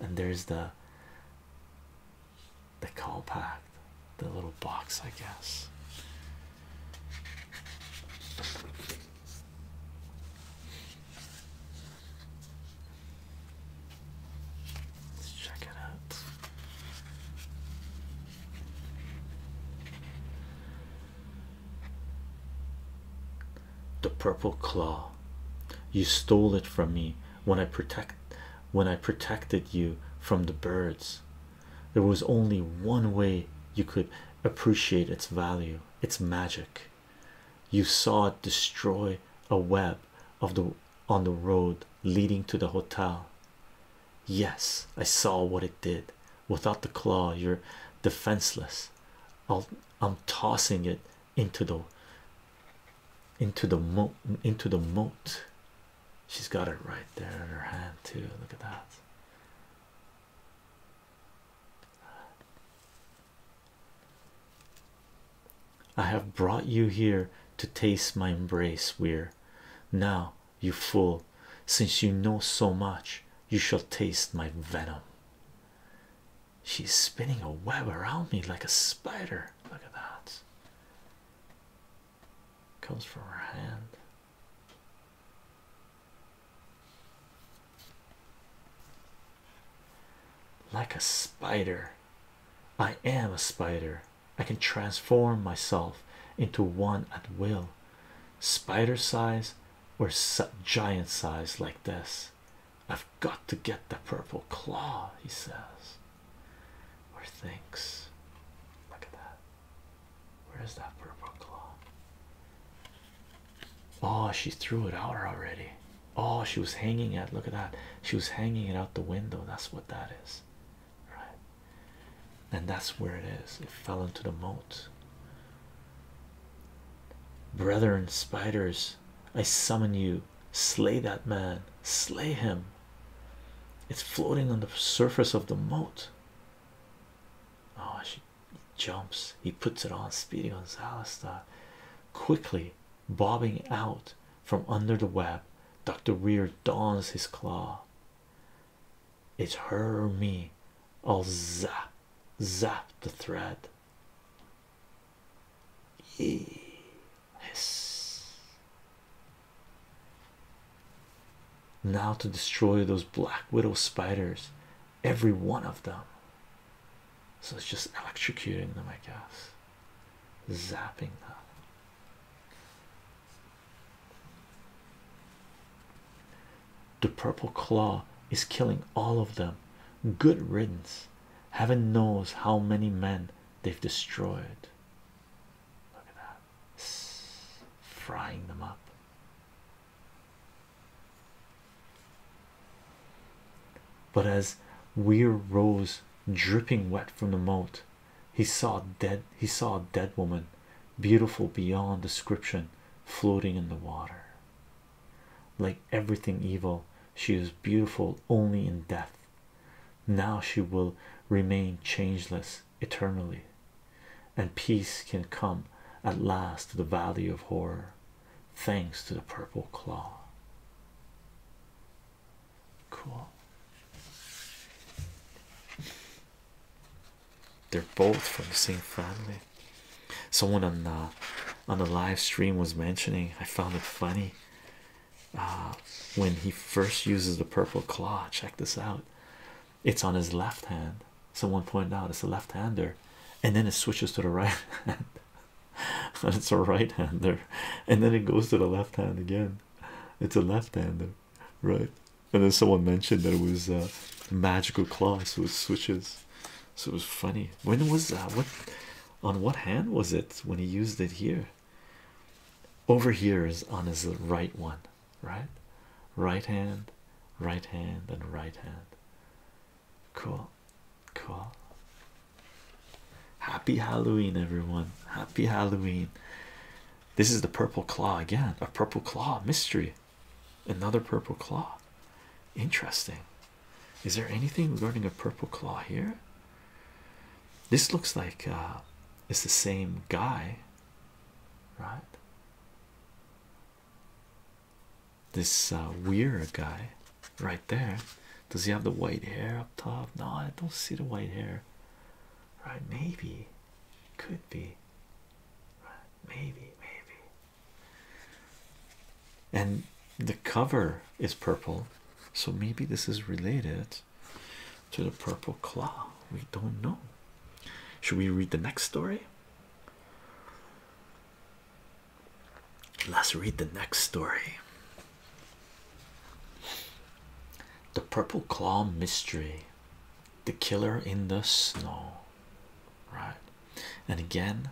And there's the the compact, the little box, I guess. Let's check it out. The purple claw. You stole it from me when I protect when I protected you from the birds there was only one way you could appreciate its value its magic you saw it destroy a web of the on the road leading to the hotel yes i saw what it did without the claw you're defenseless i am tossing it into the into the mo into the moat She's got it right there in her hand, too. Look at that. I have brought you here to taste my embrace, Weir. Now, you fool, since you know so much, you shall taste my venom. She's spinning a web around me like a spider. Look at that comes from her hand. Like a spider, I am a spider. I can transform myself into one at will, spider size or giant size, like this. I've got to get the purple claw, he says or thinks. Look at that. Where is that purple claw? Oh, she threw it out already. Oh, she was hanging it. Look at that. She was hanging it out the window. That's what that is, right? And that's where it is. It fell into the moat. Brethren, spiders, I summon you. Slay that man. Slay him. It's floating on the surface of the moat. Oh, she jumps. He puts it on. Speedy Gonzalez style. Quickly bobbing out from under the web, Dr. Weir dons his claw. It's her or me. I'll zap, zap the thread. Yes. Now to destroy those black widow spiders, every one of them. So it's just electrocuting them, I guess, zapping them. The purple claw is killing all of them. Good riddance. Heaven knows how many men they've destroyed. Look at that frying them up. But as Weir rose dripping wet from the moat, he saw dead he saw a dead woman, beautiful beyond description, floating in the water. Like everything evil, she is beautiful only in death. Now she will remain changeless eternally, and peace can come at last to the valley of horror, thanks to the purple claw. Cool. They're both from the same family. Someone on the on the live stream was mentioning. I found it funny uh, when he first uses the purple claw. Check this out it's on his left hand. Someone pointed out it's a left hander, and then it switches to the right hand, it's a right hander, and then it goes to the left hand again. It's a left hander, right? And then someone mentioned that it was a uh, magical claw, so it switches. So it was funny. When was that? What on what hand was it when he used it here? Over here is on his right one, right? Right hand, right hand, and right hand. Cool, cool. Happy Halloween, everyone! Happy Halloween. This is the purple claw again, a purple claw mystery. Another purple claw. Interesting. Is there anything regarding a purple claw here? This looks like uh, it's the same guy, right? This uh, weird guy right there. Does he have the white hair up top? No, I don't see the white hair. Right, maybe. Could be. Right, maybe, maybe. And the cover is purple, so maybe this is related to the purple claw? We don't know. Should we read the next story? Let's read the next story. The Purple Claw Mystery The Killer in the Snow. Right. And again,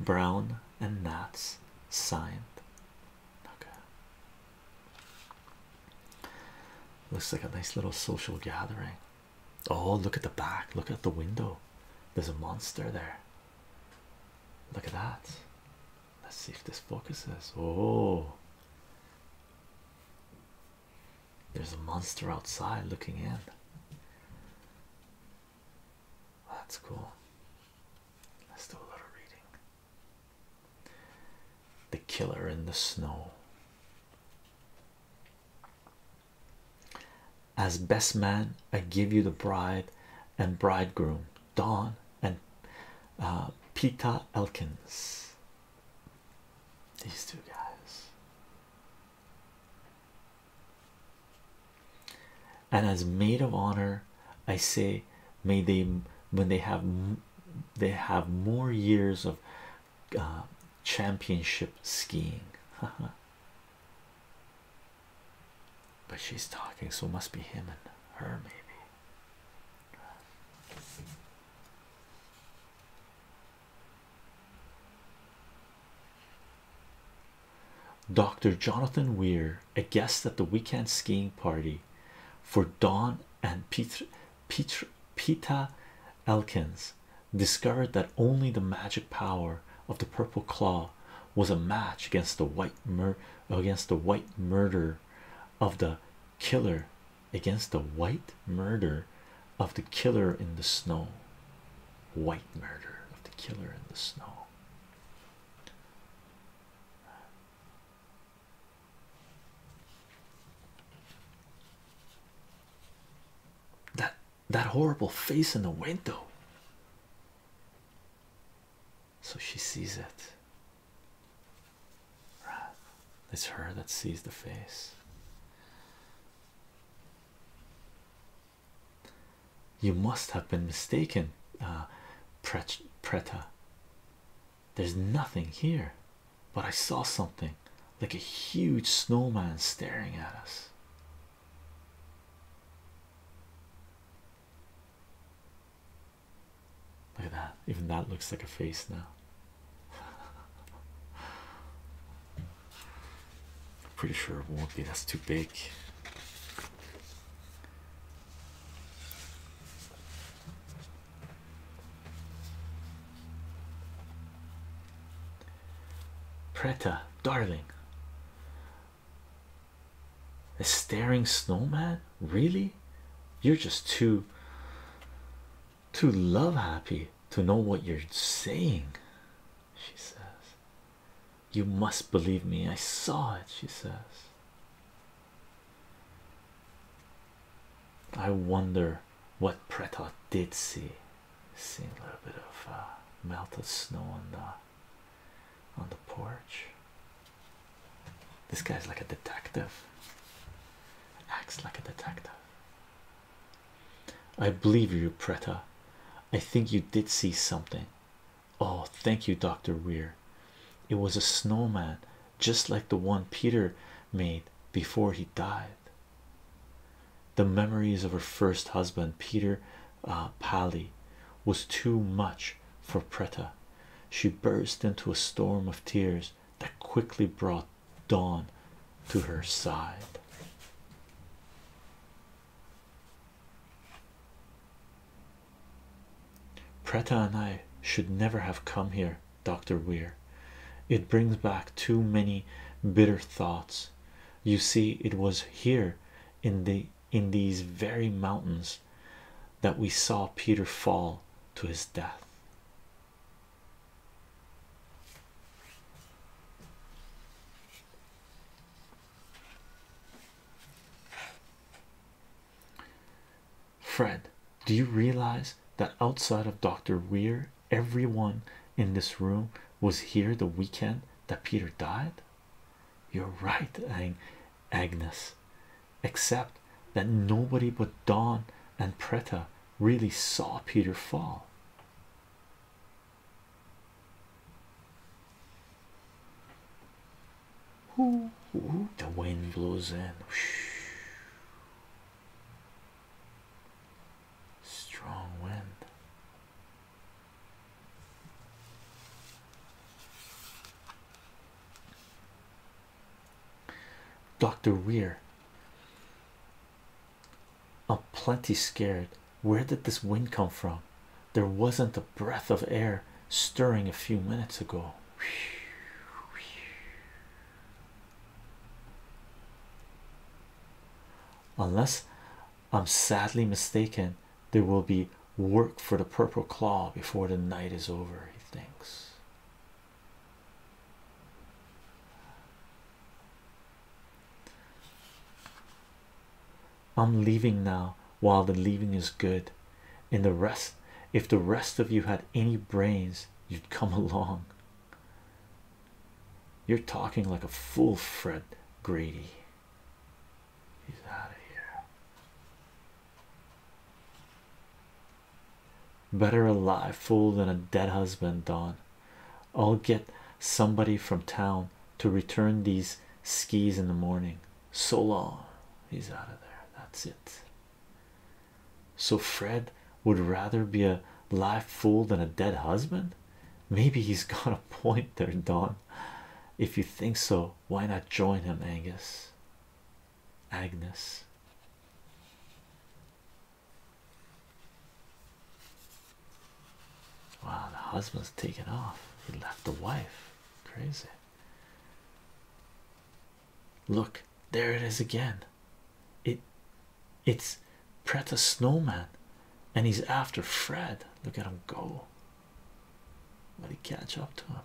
Brown and Nats signed. Okay. Looks like a nice little social gathering. Oh, look at the back. Look at the window. There's a monster there. Look at that. Let's see if this focuses. Oh, there's a monster outside looking in. That's cool. Let's do a little reading. The Killer in the Snow. As best man, I give you the bride and bridegroom, Don and uh, Pita Elkins. These two guys. And as maid of honor, I say, may they when they have they have more years of uh, championship skiing. but she's talking, so it must be him and her, maybe. Dr. Jonathan Weir, a guest at the weekend skiing party for Don and Peter Peter, Elkins discovered that only the magic power of the purple claw was a match against the white against the white murder of the killer against the white murder of the killer in the snow white murder of the killer in the snow that that horrible face in the window. So she sees it. It's her that sees the face. You must have been mistaken, uh, there's nothing here, but I saw something like a huge snowman staring at us. Look at that, even that looks like a face now. Pretty sure it won't be, that's too big. Preta, darling. A staring snowman? Really? You're just too too love happy to know what you're saying, she says. You must believe me. I saw it, she says. I wonder what Pretot did see. See a little bit of uh, melted snow on the on the porch. This guy's like a detective. Acts like a detective. I believe you, Preta. I think you did see something. Oh, thank you, Dr. Weir. It was a snowman, just like the one Peter made before he died. The memories of her first husband, Peter uh, Pally, was too much for Preta. She burst into a storm of tears that quickly brought Dawn to her side. Preta and I should never have come here, Dr. Weir. It brings back too many bitter thoughts. You see, it was here in the in these very mountains that we saw Peter fall to his death. Fred, do you realize that outside of Dr. Weir everyone in this room was here the weekend that Peter died? You're right, Ang Agnes, except that nobody but Don and Preta really saw Peter fall. Ooh, ooh, the wind blows in. Strong wind. Dr. Weir. I'm plenty scared. Where did this wind come from? There wasn't a breath of air stirring a few minutes ago. Unless I'm sadly mistaken, there will be work for the purple claw before the night is over, he thinks. I'm leaving now while the leaving is good. and the rest, if the rest of you had any brains, you'd come along. You're talking like a fool, Fred Grady. He's out of here. Better alive, fool than a dead husband, Don. I'll get somebody from town to return these skis in the morning. So long. He's out of there. That's it. So Fred would rather be a live fool than a dead husband. Maybe he's got a point there, Don. If you think so, why not join him, Angus? Agnes. Wow, the husband's taken off. He left the wife. Crazy. Look, there it is again. It it's Preta Snowman and he's after Fred. Look at him go. Let he catch up to him.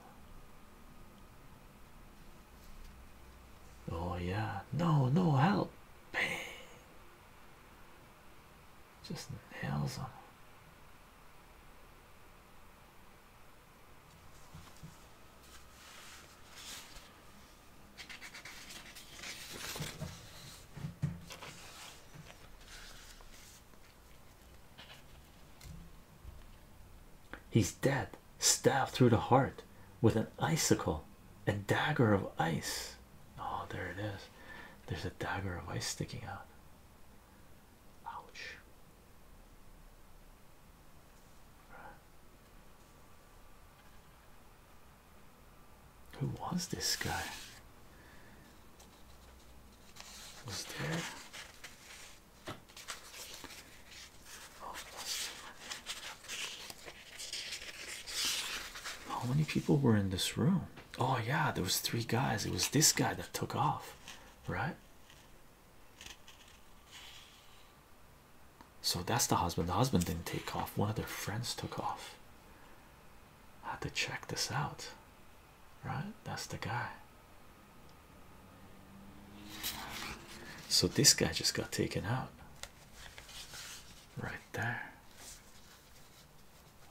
Oh yeah. No, no help. Bang. Just nails him. He's dead, stabbed through the heart with an icicle, a dagger of ice. Oh, there it is. There's a dagger of ice sticking out. Ouch. Who was this guy? Oh, was there? How many people were in this room? Oh yeah, there was three guys. It was this guy that took off, right? So that's the husband. The husband didn't take off, one of their friends took off. had to check this out, right? That's the guy. So this guy just got taken out right there.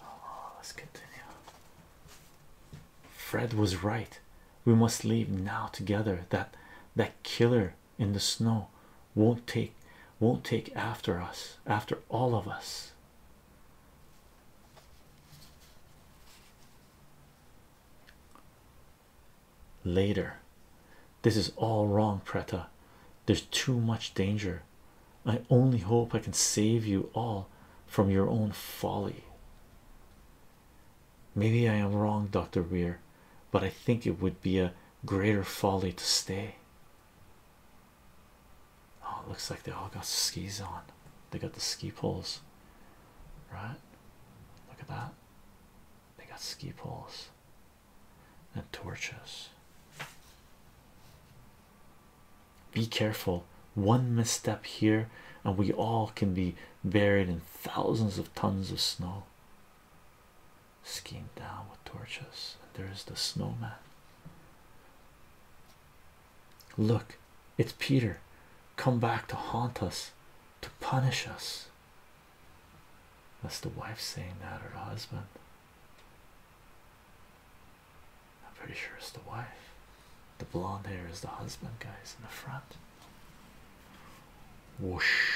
Oh, let's continue. Fred was right. We must leave now together. That that killer in the snow won't take won't take after us after all of us later this is all wrong preta there's too much danger i only hope i can save you all from your own folly maybe i am wrong dr weir but i think it would be a greater folly to stay. Oh, looks like they all got skis on. They got the ski poles, right? Look at that. They got ski poles and torches. Be careful. One misstep here, and we all can be buried in thousands of tons of snow skiing down with torches. and There is the snowman. Look, it's Peter come back to haunt us, to punish us. That's the wife saying that, or the husband. I'm pretty sure it's the wife. The blonde hair is the husband, guys, in the front. Whoosh.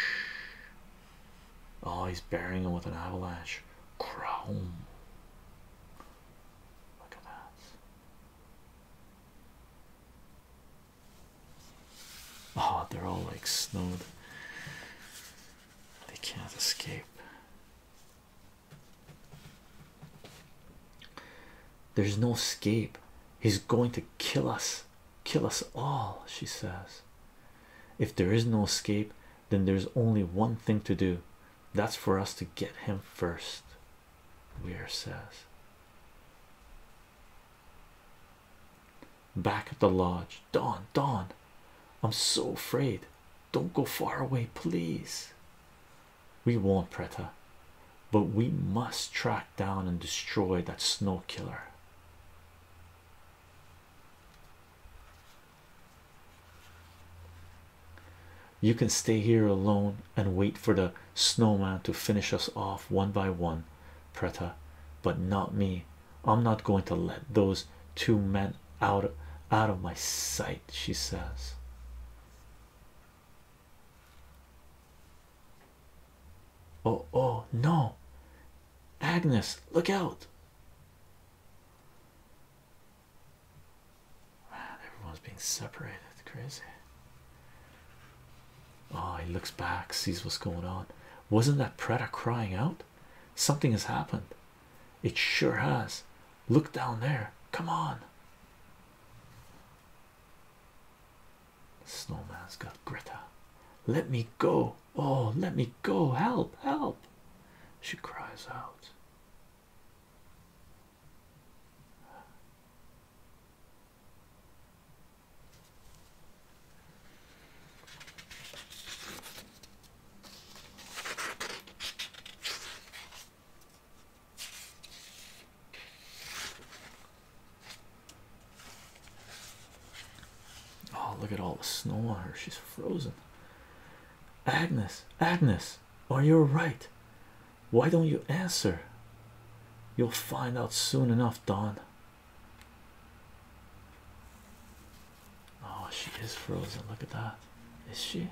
Oh, he's burying them with an avalanche. Chrome. Look at that. Oh, they're all like snowed. They can't escape. There's no escape. He's going to kill us. Kill us all, she says. If there is no escape, then there's only one thing to do that's for us to get him first. Weir says. Back at the lodge, Don, Don, I'm so afraid. Don't go far away, please. We won't, Preta, but we must track down and destroy that snow killer. You can stay here alone and wait for the snowman to finish us off one by one, Preta, but not me. I'm not going to let those two men out out of my sight, she says. Oh, oh, no, Agnes, look out. everyone's being separated. Crazy. Oh, he looks back, sees what's going on. Wasn't that Preta crying out? Something has happened. It sure has. Look down there. Come on. Snowman's got Greta. Let me go. Oh, let me go! Help! Help! She cries out. Oh, look at all the snow on her. She's frozen. Agnes, Agnes, are you right? Why don't you answer? You'll find out soon enough, Don. Oh, she is frozen. Look at that. Is she?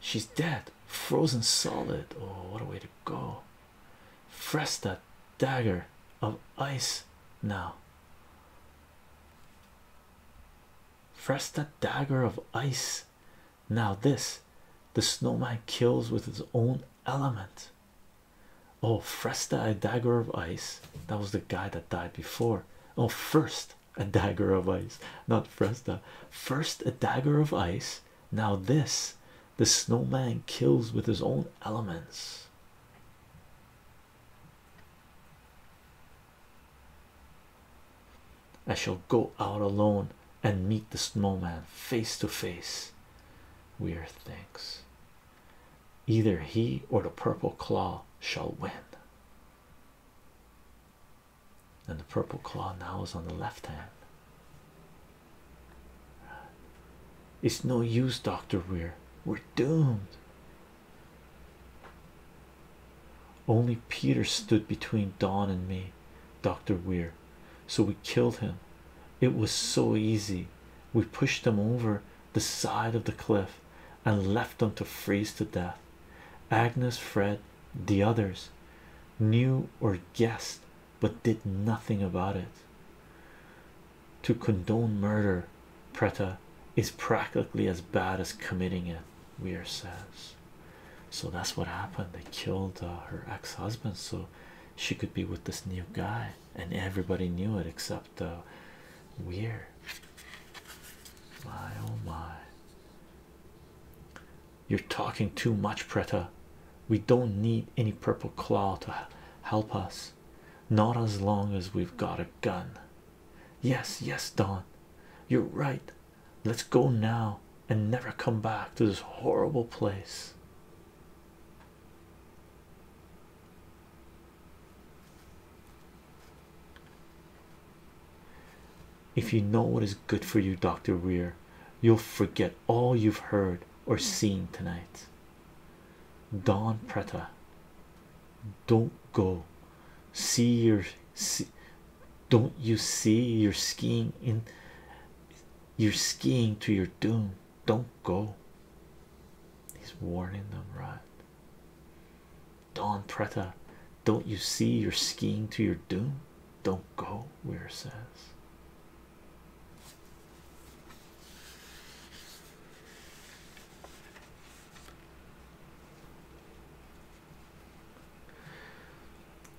She's dead, frozen solid. Oh, what a way to go! Fresh that dagger of ice now. Fresta dagger of ice. Now, this the snowman kills with his own element. Oh, Fresta, a dagger of ice. That was the guy that died before. Oh, first a dagger of ice, not Fresta. First a dagger of ice. Now, this the snowman kills with his own elements. I shall go out alone and meet the snowman face to face. Weird things. Either he or the purple claw shall win. And the purple claw now is on the left hand. It's no use, Dr. Weir. We're doomed. Only Peter stood between Don and me, Dr. Weir, so we killed him. It was so easy. We pushed them over the side of the cliff and left them to freeze to death. Agnes, Fred, the others knew or guessed but did nothing about it to condone murder, Preta, is practically as bad as committing it. Weir says, so that's what happened. They killed uh, her ex-husband, so she could be with this new guy, and everybody knew it except uh, Weir. My oh my. You're talking too much, Preta. We don't need any purple claw to help us, not as long as we've got a gun. Yes, yes, Don, you're right. Let's go now and never come back to this horrible place. If you know what is good for you, Dr. Weir, you'll forget all you've heard or seen tonight. Don Preta, don't go. See your see, don't you see you're skiing in you're skiing to your doom? Don't go. He's warning them, right? Don Preta, don't you see you're skiing to your doom? Don't go, Weir says.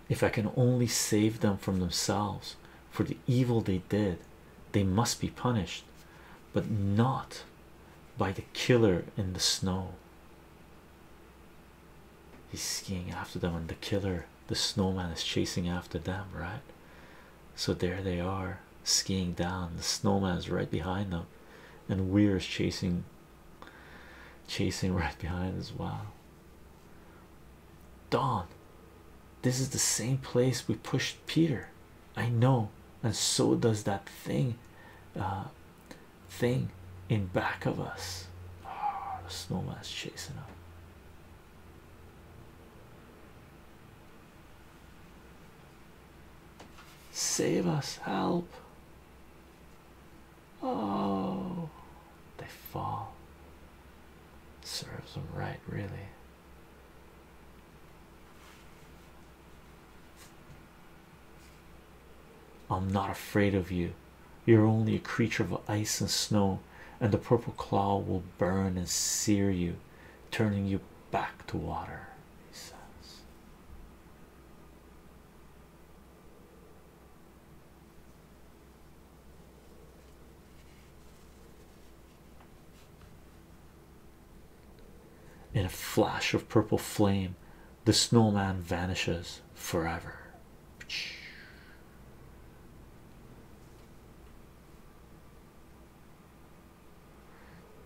If I can only save them from themselves for the evil they did, they must be punished, but not by the killer in the snow. He's skiing after them, and the killer, the snowman, is chasing after them, right? So there they are skiing down. The snowman's right behind them, and Weir's chasing, chasing right behind as well. Dawn, this is the same place we pushed Peter. I know, and so does that thing, uh, thing in back of us. Oh, the snowman's chasing him. Save us, help. Oh, they fall. Serves them right, really. I'm not afraid of you. You're only a creature of ice and snow, and the purple claw will burn and sear you, turning you back to water. He says, in a flash of purple flame, the snowman vanishes forever.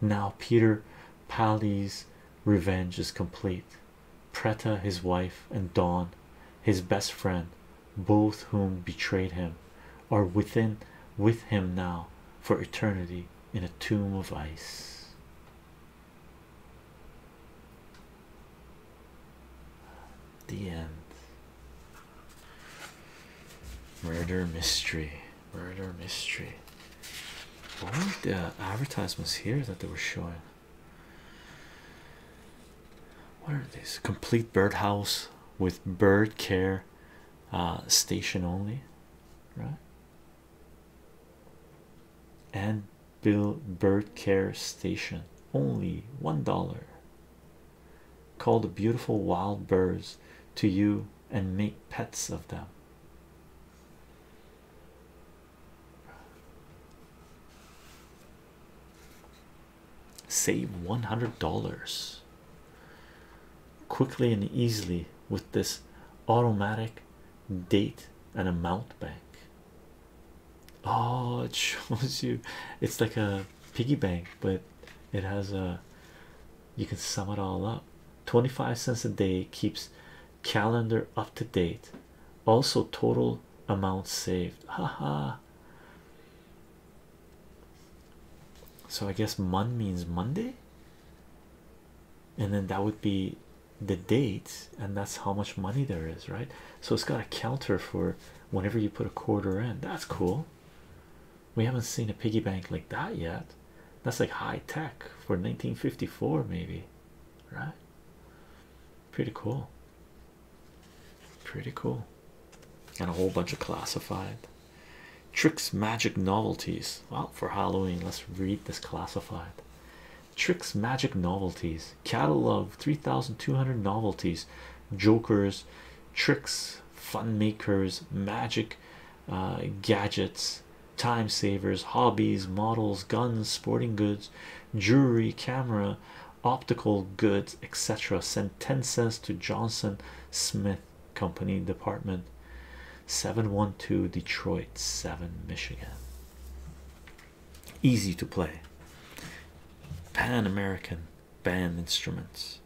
Now Peter Pali's revenge is complete. Preta, his wife, and Dawn, his best friend, both whom betrayed him, are within with him now for eternity in a tomb of ice. The end. Murder mystery murder mystery. What are the advertisements here that they were showing? What are these? Complete birdhouse with bird care uh, station only, right? And Bill Bird Care Station only one dollar. Call the beautiful wild birds to you and make pets of them. Save $100 quickly and easily with this automatic date and amount bank. Oh, it shows you it's like a piggy bank, but it has a you can sum it all up 25 cents a day keeps calendar up to date also total amount saved haha so i guess mon means monday and then that would be the date and that's how much money there is right so it's got a counter for whenever you put a quarter in that's cool we haven't seen a piggy bank like that yet that's like high tech for 1954, maybe, right? Pretty cool. Pretty cool. And a whole bunch of classified tricks, magic novelties. Well, for Halloween, let's read this classified tricks, magic novelties, catalog 3,200 novelties, jokers, tricks, fun makers, magic uh, gadgets time savers, hobbies, models, guns, sporting goods, jewelry, camera, optical goods, etc. Sentences to Johnson Smith Company, Department 712, Detroit 7, Michigan. Easy to play. Pan American band instruments.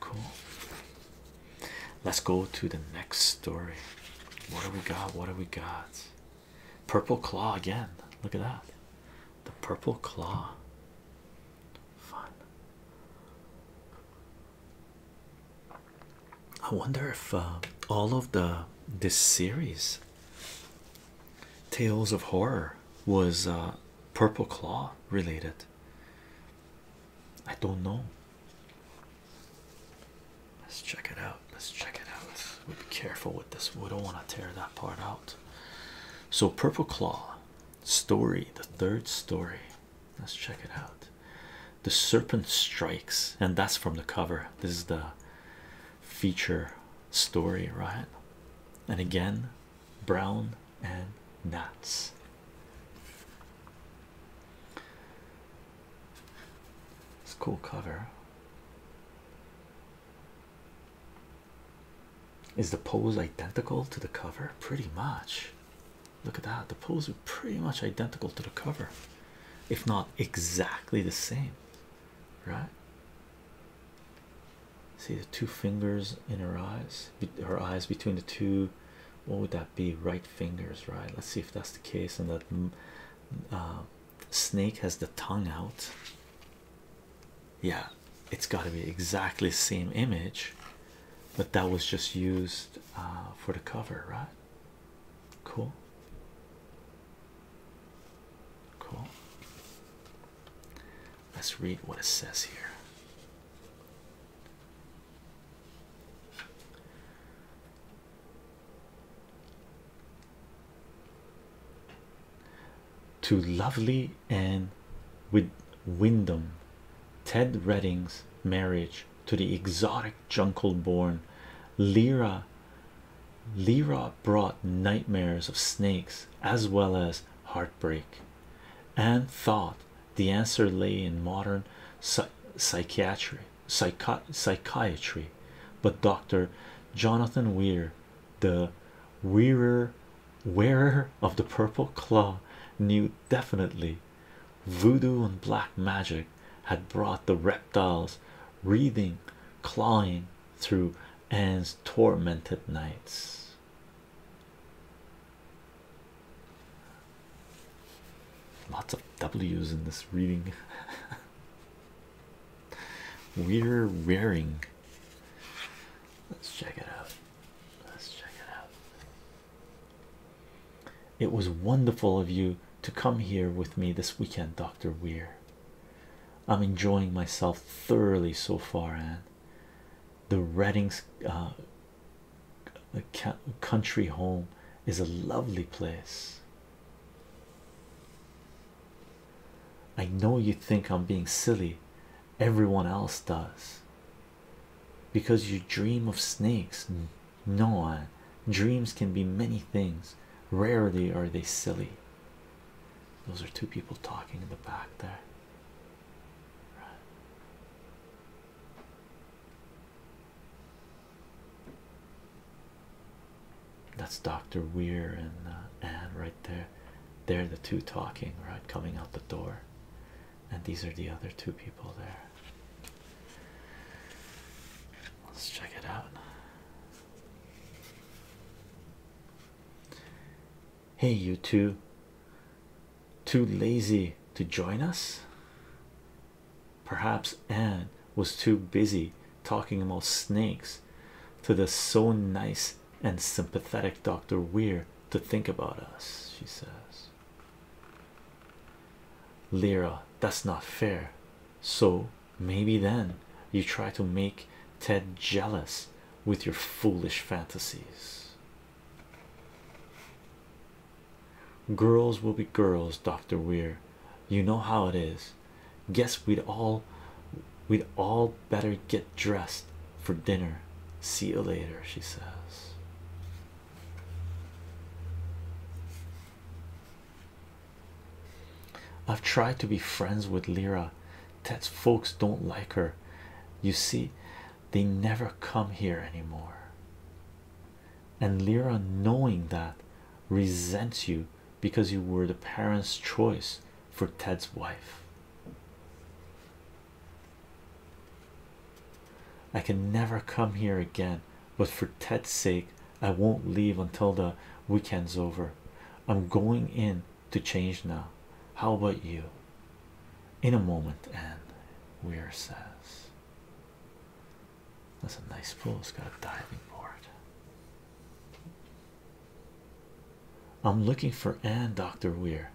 Cool. Let's go to the next story. What do we got? What do we got? Purple claw again. Look at that. The purple claw. Fun. I wonder if uh, all of the this series Tales of Horror was uh, Purple Claw related. I don't know. Let's check it out. Let's check it out. We'll be careful with this. We don't want to tear that part out. So, Purple Claw story, the third story. Let's check it out. The serpent strikes, and that's from the cover. This is the feature story, right? And again, brown and nuts. This cool cover. Is the pose identical to the cover? Pretty much. Look at that. The pose is pretty much identical to the cover, if not exactly the same, right? See the two fingers in her eyes her eyes between the two what would that be right fingers right let's see if that's the case and that mm, uh, snake has the tongue out yeah it's got to be exactly the same image but that was just used uh, for the cover right cool cool let's read what it says here to lovely and with Wyndham, Ted Redding's marriage to the exotic jungle born Lyra. Lyra brought nightmares of snakes as well as heartbreak. and thought the answer lay in modern psychiatry, but Dr. Jonathan Weir, the wearer wearer of the purple claw, knew definitely voodoo and black magic had brought the reptiles wreathing, clawing through Anne's tormented nights. Lots of W's in this reading. We're rearing. Let's check it out. Let's check it out. It was wonderful of you to come here with me this weekend, Dr. Weir. I'm enjoying myself thoroughly so far, Anne. The readings. Uh, a country home is a lovely place. I know you think I'm being silly, everyone else does. Because you dream of snakes, no Dreams can be many things, rarely are they silly. Those are two people talking in the back there. That's Dr. Weir and uh, Anne right there. They're the two talking, right? Coming out the door. And these are the other two people there. Let's check it out. Hey, you two too lazy to join us? Perhaps Anne was too busy talking about snakes to the so nice and sympathetic Dr. Weir to think about us, she says. Lyra, that's not fair. So maybe then you try to make Ted jealous with your foolish fantasies. Girls will be girls, Dr. Weir. You know how it is. Guess we'd all we'd all better get dressed for dinner. See you later, she says. I've tried to be friends with Lyra. Ted's folks don't like her. You see, they never come here anymore and lyra knowing that resents you because you were the parents choice for ted's wife i can never come here again but for ted's sake i won't leave until the weekend's over i'm going in to change now how about you in a moment Anne. weir says that's a nice pool. It's got a diving board. I'm looking for Anne, Dr. Weir.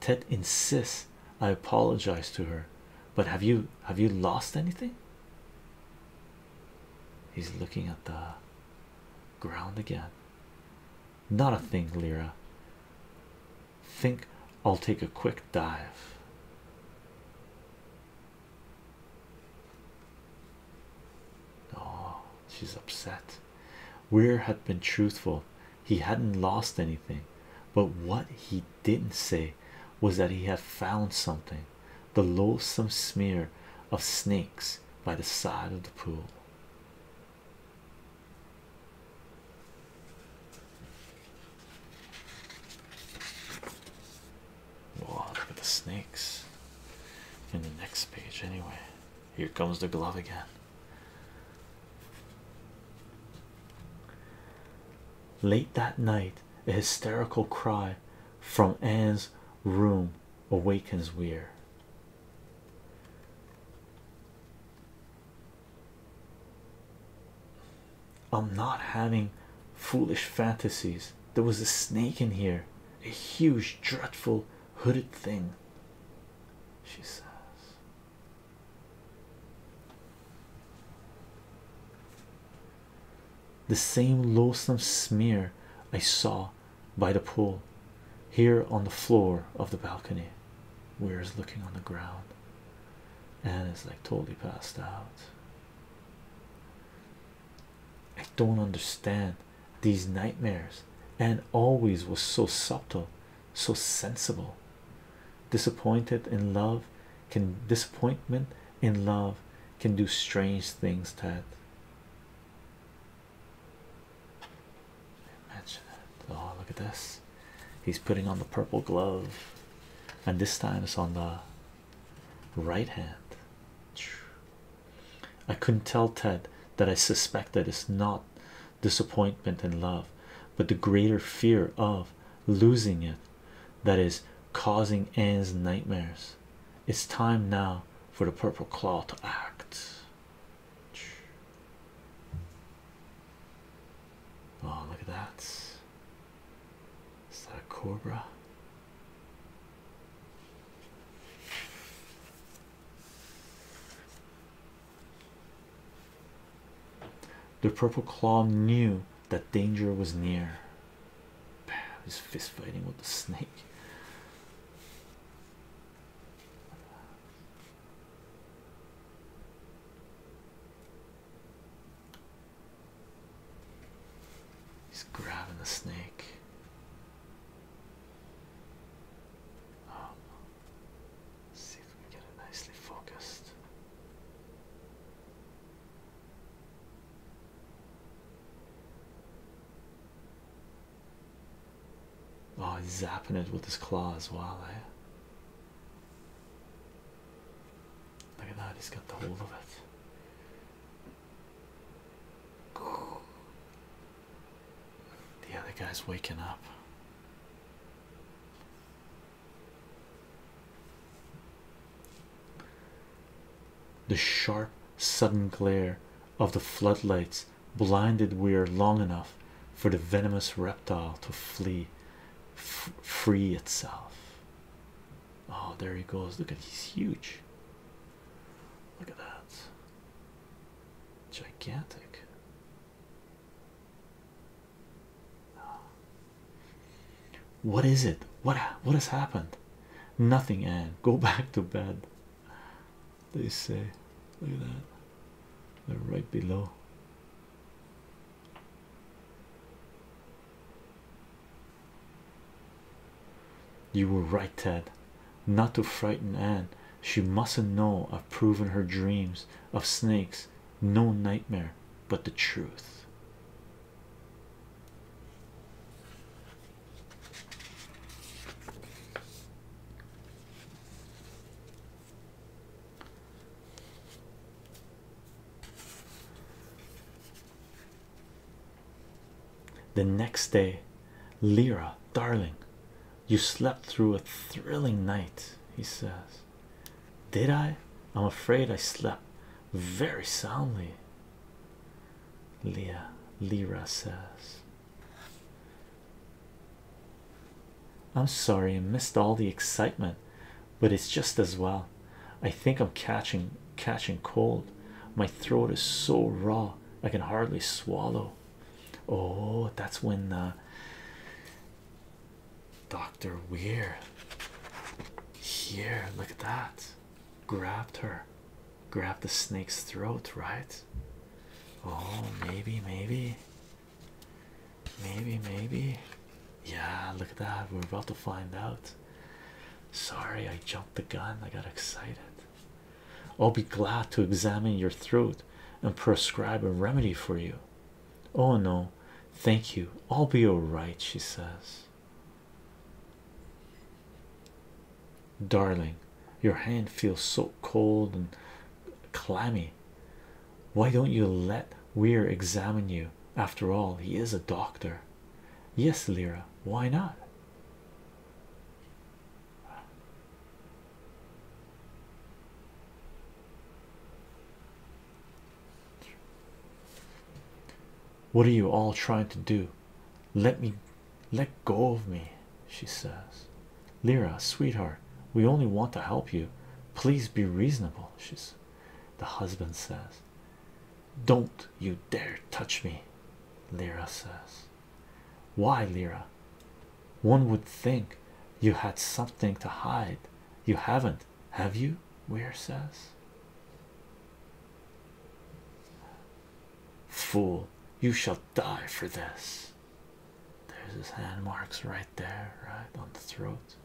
Ted insists I apologize to her. But have you have you lost anything? He's looking at the ground again. Not a thing, Lira think I'll take a quick dive. Oh, she's upset. Weir had been truthful, he hadn't lost anything, but what he didn't say was that he had found something the loathsome smear of snakes by the side of the pool. Oh, look at the snakes in the next page, anyway. Here comes the glove again. Late that night, a hysterical cry from Anne's room awakens Weir. I'm not having foolish fantasies. There was a snake in here, a huge, dreadful, hooded thing. She says, The same loathsome smear I saw by the pool here on the floor of the balcony. We're looking on the ground. Anne is like totally passed out. I don't understand these nightmares, Anne always was so subtle, so sensible. Disappointed in love can disappointment in love can do strange things, Ted. Imagine it. Oh, look at this. He's putting on the purple glove, and this time it's on the right hand. I couldn't tell Ted that I suspect that it's not disappointment in love, but the greater fear of losing it that is causing Anne's nightmares. It's time now for the purple claw to act. Oh, look at that. Is that a cobra? The purple claw knew that danger was near. His fist fighting with the snake. He's grabbing the snake. Um, let see if we get it nicely focused. Oh, he's zapping it with his claws. as eh? Look at that, he's got the hold of it. The other guy's waking up. The sharp, sudden glare of the floodlights blinded Weir long enough for the venomous reptile to flee, free itself. Oh, there he goes. Look at he's huge. Look at that. Gigantic. What is it? What what has happened? Nothing, Anne. Go back to bed. They say, look at that. They're right below. You were right, Ted, not to frighten Anne. She mustn't know I've proven her dreams of snakes no nightmare but the truth. The next day, Lyra, darling, you slept through a thrilling night, he says. Did I? I'm afraid I slept very soundly. Leah Lyra says, I'm sorry I missed all the excitement but it's just as well. I think I'm catching catching cold. My throat is so raw I can hardly swallow. Oh, that's when uh, Dr. Weir here, look at that, grabbed her, grabbed the snake's throat, right? Oh, maybe, maybe. Maybe, maybe. Yeah, look at that. We're about to find out. Sorry, I jumped the gun. I got excited. I'll be glad to examine your throat and prescribe a remedy for you. Oh no, thank you. I'll be all right, she says. Darling, your hand feels so cold and clammy. Why don't you let Weir examine you? After all, he is a doctor. Yes, Lira. why not? What are you all trying to do? Let me let go of me, she says. "Lira, sweetheart, we only want to help you. Please be reasonable, she's the husband says. Don't you dare touch me, Lyra says. Why, Lyra? One would think you had something to hide. You haven't, have you? Weir says. Fool, you shall die for this. There's his hand marks right there, right on the throat.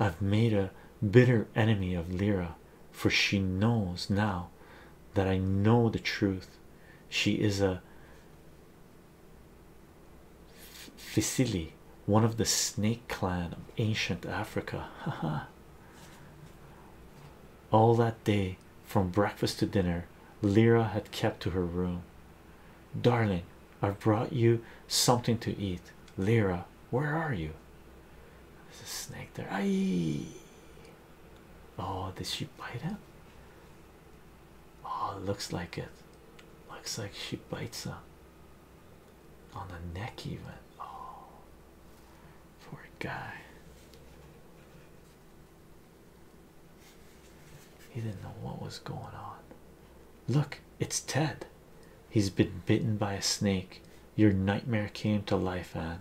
I've made a bitter enemy of Lira, for she knows now that I know the truth. She is a Fisili, one of the snake clan of ancient Africa. Haha, all that day, from breakfast to dinner, Lyra had kept to her room. Darling, I've brought you something to eat. Lyra, where are you? There's a snake there. Aye. Oh, did she bite him? Oh, looks like it. Looks like she bites him on the neck, even. Oh, poor guy. He didn't know what was going on. Look, it's Ted. He's been bitten by a snake. Your nightmare came to life, Anne,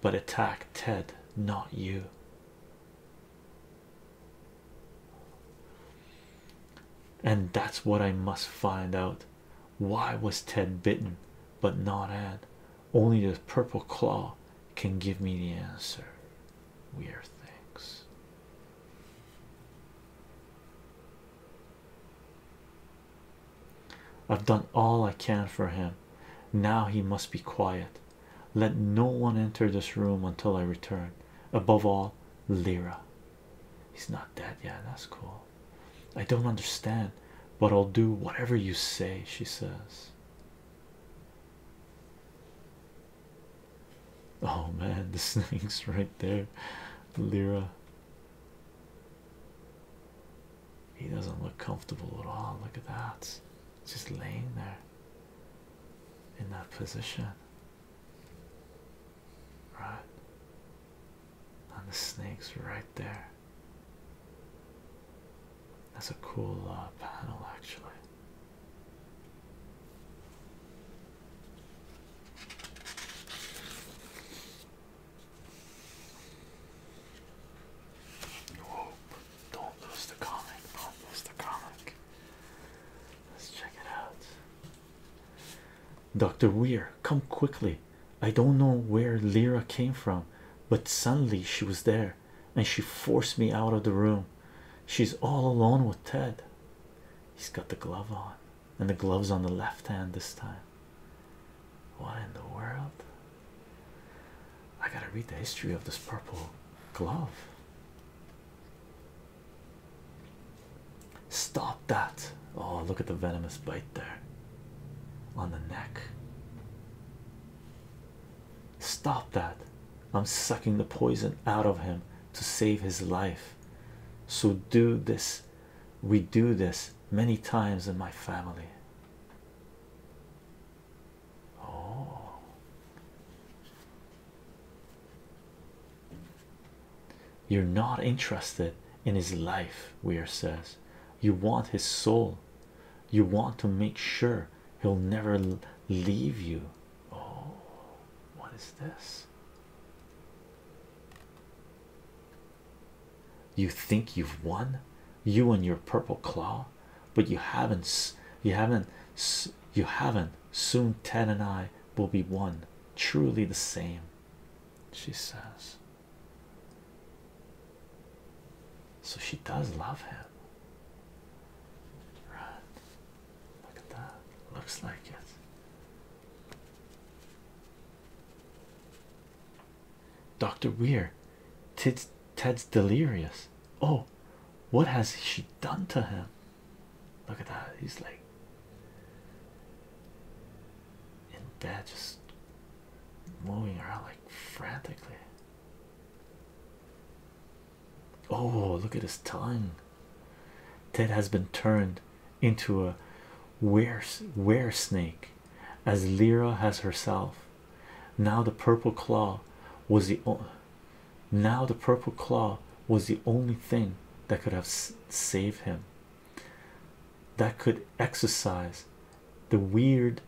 but attacked Ted, not you. And that's what I must find out. Why was Ted bitten but not Add? Only the purple claw can give me the answer. Weird things. I've done all I can for him. Now he must be quiet. Let no one enter this room until I return. Above all, Lyra. He's not dead yet. That's cool. I don't understand, but I'll do whatever you say, she says. Oh man, the snake's right there, Lyra. He doesn't look comfortable at all. Look at that, just laying there in that position, right? And the snake's right there. That's a cool uh, panel, actually. Whoa, don't lose the comic, don't lose the comic. Let's check it out. Dr. Weir, come quickly. I don't know where Lyra came from, but suddenly she was there and she forced me out of the room. She's all alone with Ted. He's got the glove on, and the glove's on the left hand this time. What in the world? I gotta read the history of this purple glove. Stop that. Oh, look at the venomous bite there on the neck. Stop that. I'm sucking the poison out of him to save his life. So, do this. We do this many times in my family. Oh. You're not interested in his life, Weir says you want his soul you want to make sure he'll never leave you oh what is this you think you've won you and your purple claw but you haven't you haven't you haven't soon Ten and i will be one truly the same she says so she does love him. Right. Look at that. Looks like it. Dr. Weir, Ted's, Ted's delirious. Oh, what has she done to him? Look at that. He's like in bed, just moving around like frantically. Oh, look at his tongue. Ted has been turned into a were were snake, as Lyra has herself. Now the purple claw was the now the purple claw was the only thing that could have saved him that could exercise the weird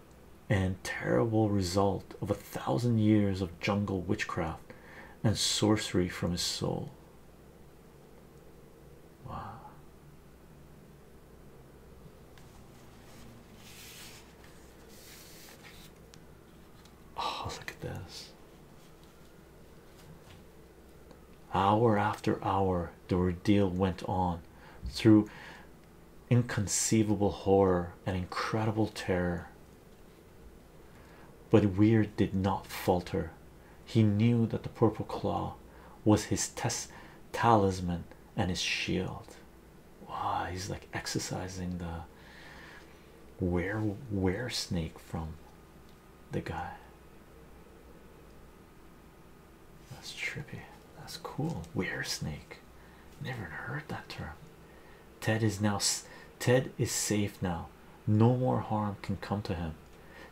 and terrible result of a thousand years of jungle witchcraft and sorcery from his soul. Wow. Oh, look at this. Hour after hour, the ordeal went on through inconceivable horror and incredible terror. But Weird did not falter. He knew that the purple claw was his test talisman and his shield. Wow, he's like exercising the where where snake from the guy that's trippy. That's cool. Weird snake. Never heard that term. Ted is now. Ted is safe now. No more harm can come to him.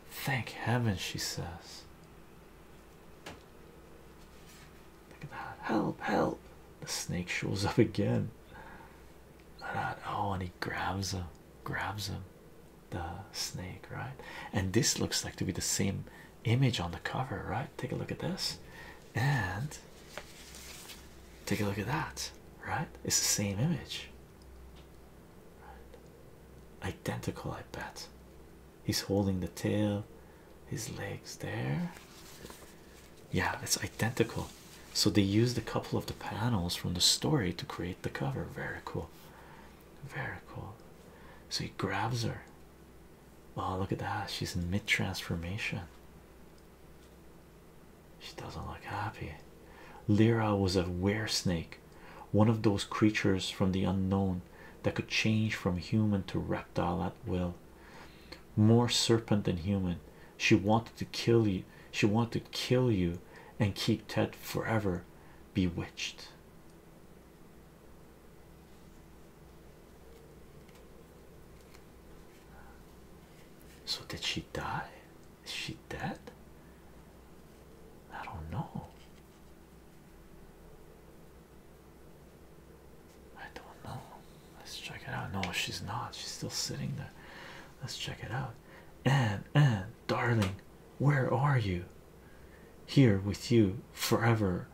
Thank heaven, she says. Look at that. Help! Help! The snake shows up again. Oh, and he grabs him. Grabs him. The snake, right? And this looks like to be the same image on the cover, right? Take a look at this and take a look at that, right? It's the same image, identical. I bet he's holding the tail, his legs there. Yeah, it's identical. So they used a couple of the panels from the story to create the cover. Very cool, very cool. So he grabs her Oh, look at that. She's in mid transformation. She doesn't look happy. Lyra was a weresnake, one of those creatures from the unknown that could change from human to reptile at will. More serpent than human. She wanted to kill you. She wanted to kill you and keep Ted forever bewitched. So, did she die? Is she dead? I don't know. I don't know. Let's check it out. No, she's not. She's still sitting there. Let's check it out. Anne, Anne, darling, where are you? here with you forever,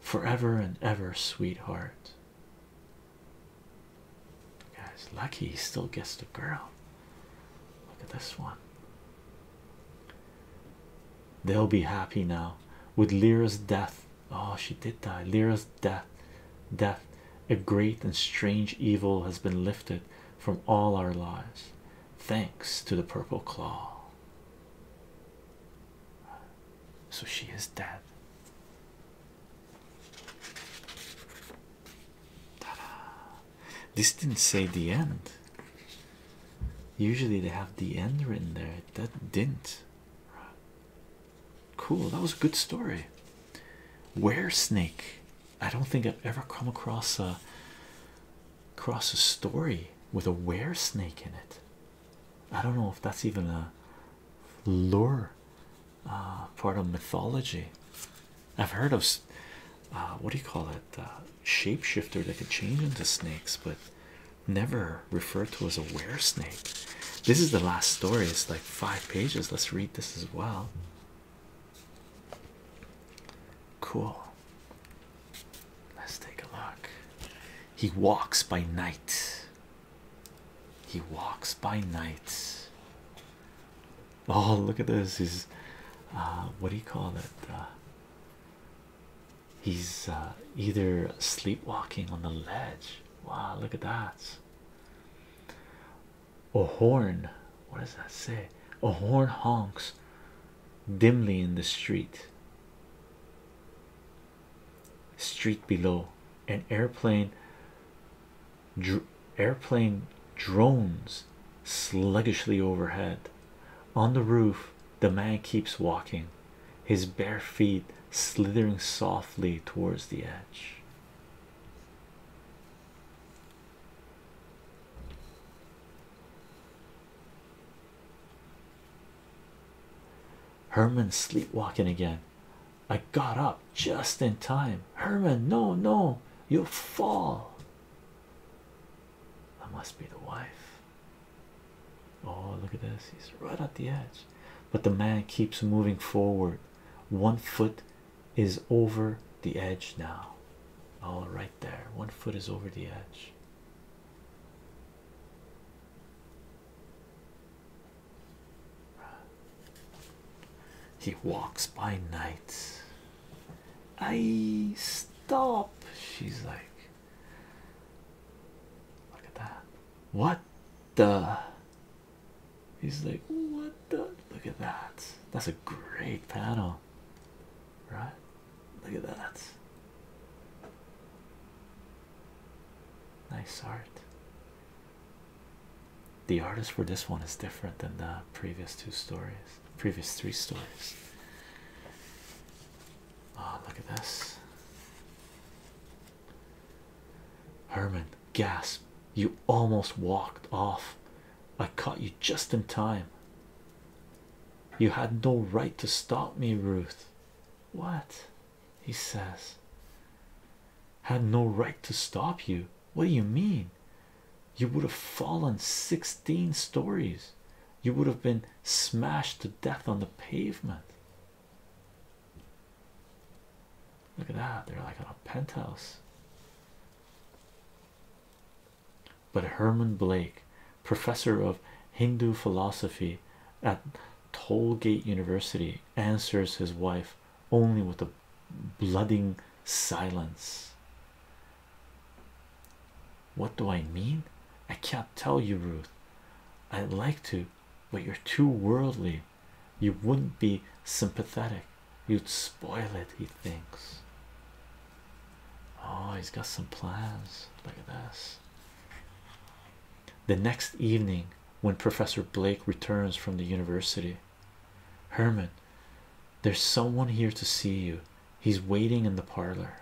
forever and ever, sweetheart. Guys, lucky he still gets the girl. Look at this one. They'll be happy now with Lyra's death. Oh, she did die. Lyra's death, death, a great and strange evil has been lifted from all our lives, thanks to the purple claw. So she is dead. This didn't say the end. Usually they have the end written there. That didn't. Cool. That was a good story. Where snake? I don't think I've ever come across a Cross a story with a were snake in it. I don't know if that's even a lore uh, part of mythology. I've heard of uh, what do you call it? Uh, shapeshifter that could change into snakes, but never referred to as a were snake. This is the last story, it's like five pages. Let's read this as well. Cool. Let's take a look. He walks by night. He walks by night. Oh, look at this. He's uh, what do you call it? Uh, he's uh, either sleepwalking on the ledge. Wow, look at that. A horn. What does that say? A horn honks dimly in the street. Street below, an airplane airplane drones sluggishly overhead. On the roof, the man keeps walking, his bare feet slithering softly towards the edge. Herman sleepwalking again. I got up just in time. Herman, no, no, you'll fall. That must be the wife. Oh, look at this. He's right at the edge. But the man keeps moving forward. One foot is over the edge now. All right, there. One foot is over the edge. He walks by night. I stop. She's like, Look at that. What the? He's like, What the? Look at that. That's a great panel right? Look at that. Nice art. The artist for this one is different than the previous two stories, previous three stories. Oh, look at this. Herman, gasp. You almost walked off. I caught you just in time. You had no right to stop me, Ruth. What? He says, had no right to stop you. What do you mean? You would have fallen 16 stories, you would have been smashed to death on the pavement. Look at that, they're like on a penthouse. But Herman Blake professor of Hindu philosophy at Tollgate University, answers his wife only with a blooding silence. What do I mean? I can't tell you, Ruth. I'd like to, but you're too worldly. You wouldn't be sympathetic, you'd spoil it, he thinks. Oh, he's got some plans. Look at this. The next evening, when Professor Blake returns from the university, Herman, there's someone here to see you. He's waiting in the parlor.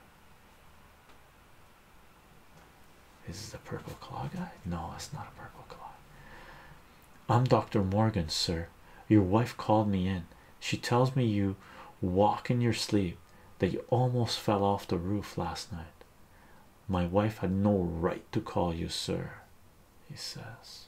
Is this the purple claw guy? No, it's not a purple claw. I'm Dr. Morgan, sir. Your wife called me in. She tells me you walk in your sleep that you almost fell off the roof last night. My wife had no right to call you, sir, he says.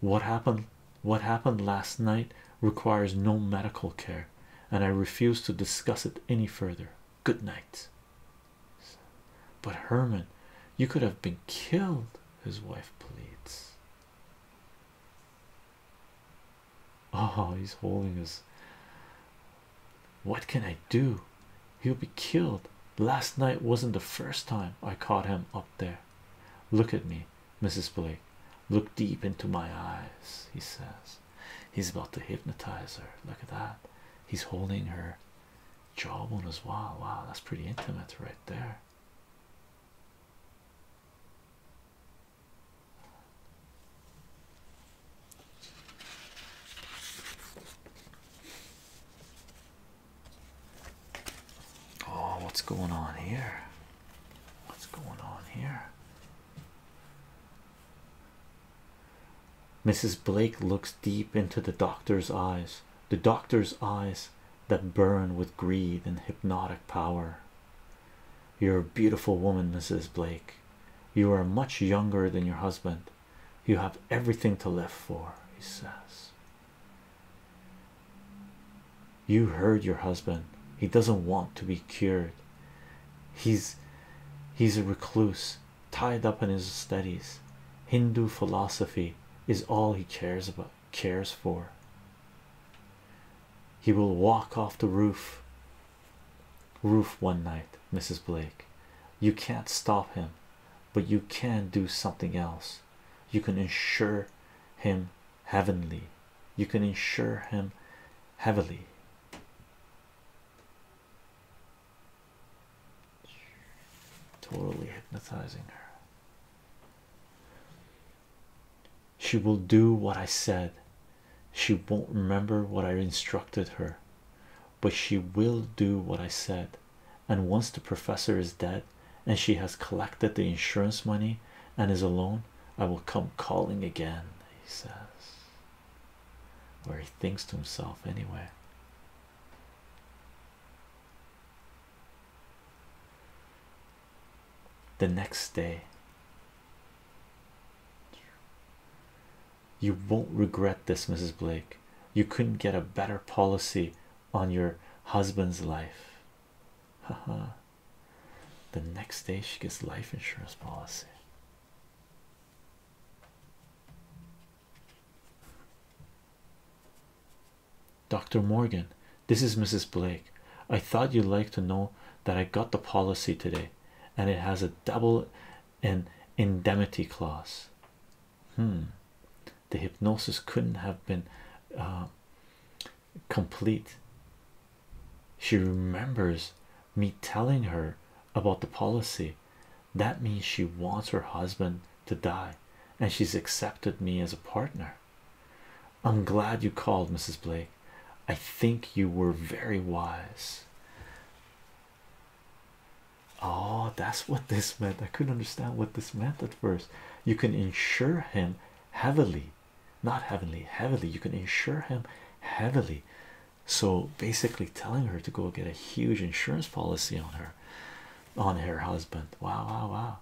What happened? What happened last night requires no medical care, and I refuse to discuss it any further. Good night. But Herman, you could have been killed his wife pleads. Oh, he's holding us. What can I do? He'll be killed. Last night wasn't the first time I caught him up there. Look at me, Mrs. Blake. Look deep into my eyes, he says. He's about to hypnotize her. Look at that. He's holding her jawbone as well. Wow, that's pretty intimate right there. Oh, what's going on here? What's going on here? Mrs. Blake looks deep into the doctor's eyes the doctor's eyes that burn with greed and hypnotic power. You're a beautiful woman, Mrs. Blake. You are much younger than your husband. You have everything to live for, he says. You heard your husband. He doesn't want to be cured. He's he's a recluse, tied up in his studies. Hindu philosophy is all he cares about cares for. He will walk off the roof roof one night, Mrs. Blake. You can't stop him, but you can do something else. You can insure him heavenly. You can insure him heavily. Totally hypnotizing her. She will do what I said. She won't remember what I instructed her, but she will do what I said. And once the professor is dead and she has collected the insurance money and is alone, I will come calling again, he says. Or he thinks to himself, anyway. The next day, you won't regret this, Mrs. Blake. You couldn't get a better policy on your husband's life. Haha. the next day, she gets life insurance policy. Dr. Morgan, this is Mrs. Blake. I thought you'd like to know that I got the policy today and it has a double an indemnity clause. Hmm, the hypnosis couldn't have been uh, complete. She remembers me telling her about the policy. That means she wants her husband to die and she's accepted me as a partner. I'm glad you called, Mrs. Blake. I think you were very wise. Oh, that's what this meant. I couldn't understand what this meant at first. You can insure him heavily, not heavenly, heavily. You can insure him heavily. So basically, telling her to go get a huge insurance policy on her, on her husband. Wow, wow, wow.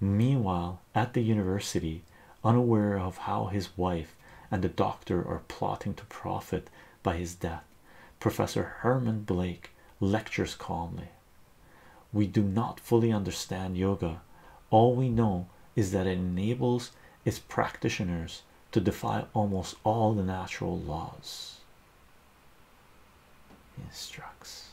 Meanwhile, at the university, unaware of how his wife and the doctor are plotting to profit by his death, Professor Herman Blake lectures calmly. We do not fully understand yoga. All we know is that it enables its practitioners to defy almost all the natural laws instructs.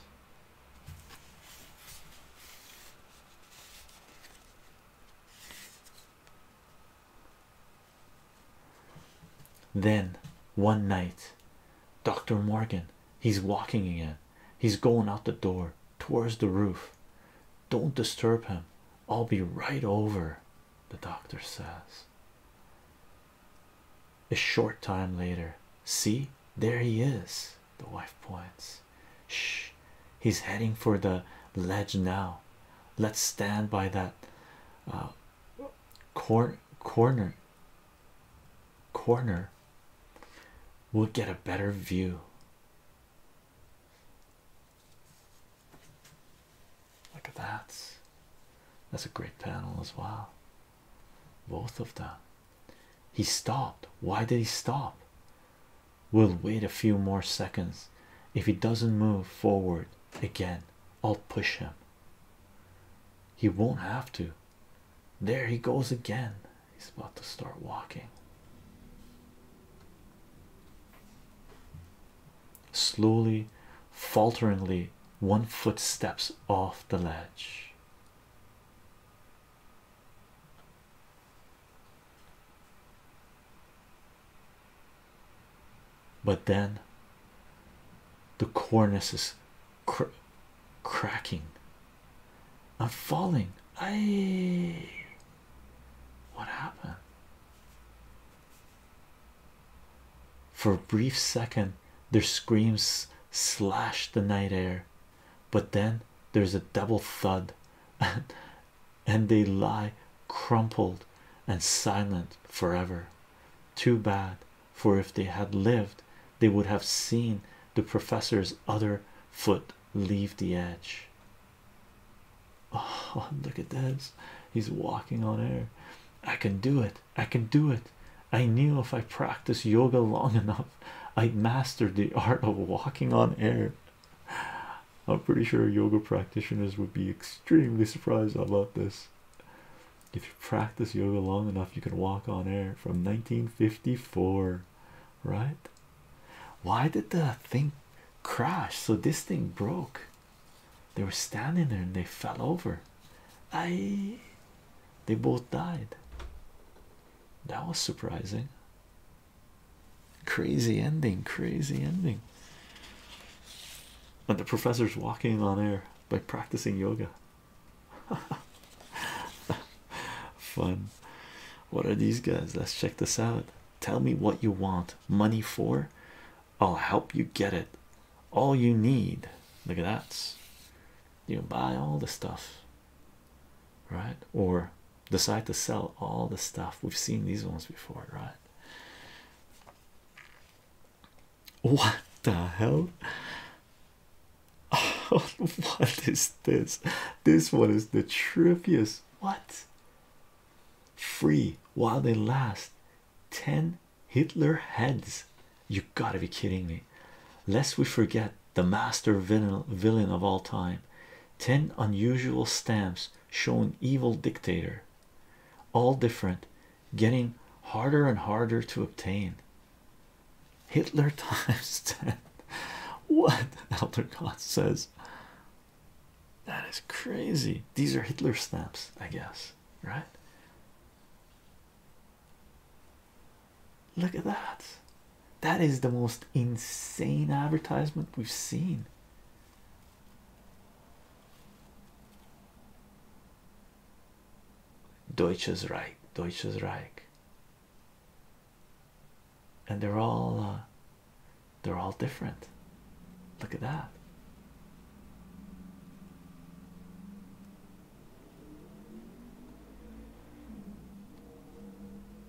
Then one night, Dr. Morgan, he's walking again. He's going out the door towards the roof. Don't disturb him. I'll be right over, the doctor says. A short time later, see, there he is. The wife points. Shh, he's heading for the ledge now. Let's stand by that uh, corner. Corner. We'll get a better view. Look at that. That's a great panel as well both of them. He stopped. Why did he stop? We'll wait a few more seconds. If he doesn't move forward again, I'll push him. He won't have to. There he goes again. He's about to start walking. Slowly, falteringly, one foot steps off the ledge. But then the cornice is cracking. I'm falling. I what happened? For a brief second, their screams slash the night air, but then there's a double thud, and they lie crumpled and silent forever. Too bad, for if they had lived, they would have seen the professor's other foot leave the edge. Oh, look at this! He's walking on air. I can do it. I can do it. I knew if I practiced yoga long enough, I'd mastered the art of walking on air. I'm pretty sure yoga practitioners would be extremely surprised about this. If you practice yoga long enough, you can walk on air from 1954, right? Why did the thing crash? So this thing broke. They were standing there and they fell over. I they both died. That was surprising. Crazy ending, crazy ending. And the professor's walking on air by practicing yoga. Fun. What are these guys? Let's check this out. Tell me what you want money for. I'll help you get it. All you need. Look at that you buy all the stuff right or decide to sell all the stuff we've seen these ones before right what the hell what is this this one is the trippiest what free while they last 10 hitler heads you gotta be kidding me. Lest we forget the master villain, of all time. 10 unusual stamps showing evil dictator. All different, getting harder and harder to obtain. Hitler times 10. What Elder God says. That is crazy. These are Hitler stamps, I guess, right? Look at that. That is the most insane advertisement we've seen. Deutsches Reich, Deutsches Reich. And they're all uh, they're all different. Look at that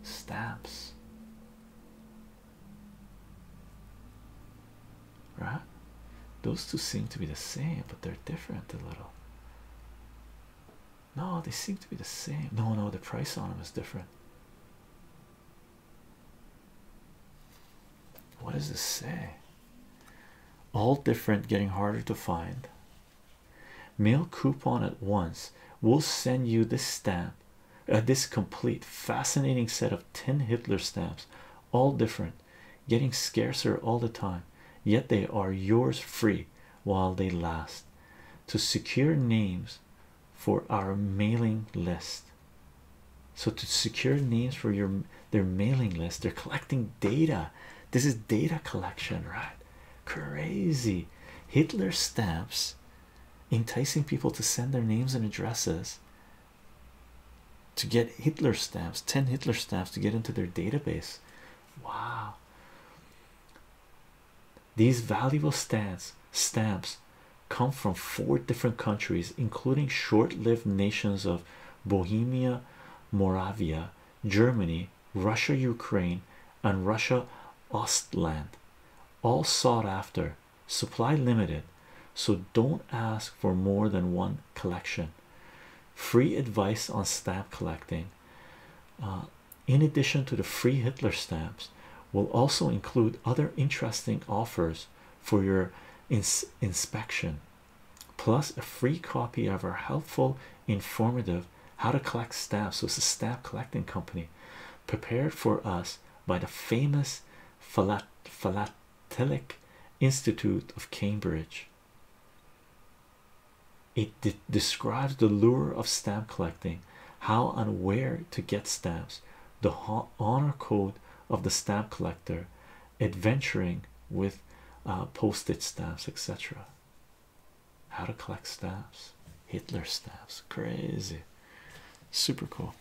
stamps right those two seem to be the same but they're different a little no they seem to be the same no no the price on them is different what does this say all different getting harder to find mail coupon at once we'll send you this stamp uh, this complete fascinating set of 10 hitler stamps all different getting scarcer all the time yet they are yours free while they last to secure names for our mailing list so to secure names for your their mailing list they're collecting data this is data collection right Crazy Hitler stamps enticing people to send their names and addresses to get Hitler stamps 10 Hitler stamps to get into their database. Wow, these valuable stamps stamps come from four different countries, including short lived nations of Bohemia, Moravia, Germany, Russia, Ukraine, and Russia Ostland all sought after, supply limited, so don't ask for more than one collection. Free advice on stamp collecting, uh, in addition to the free Hitler stamps, will also include other interesting offers for your inspection, plus a free copy of our helpful, informative how to collect stamps. was a stamp collecting company prepared for us by the famous Philatelic Institute of Cambridge. It describes the lure of stamp collecting, how and where to get stamps, the honor code of the stamp collector, adventuring with uh, postage stamps, etc. How to collect staffs? Hitler staffs? crazy, super cool.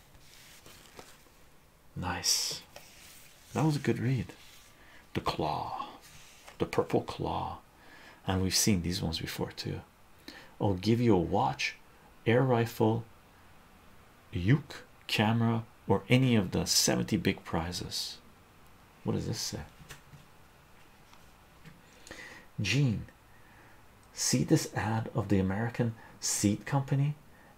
Nice, that was a good read. The claw, the purple claw, and we've seen these ones before too. I'll give you a watch, air rifle, uke camera, or any of the 70 big prizes. What does this say? Jean? see this ad of the American Seed Company?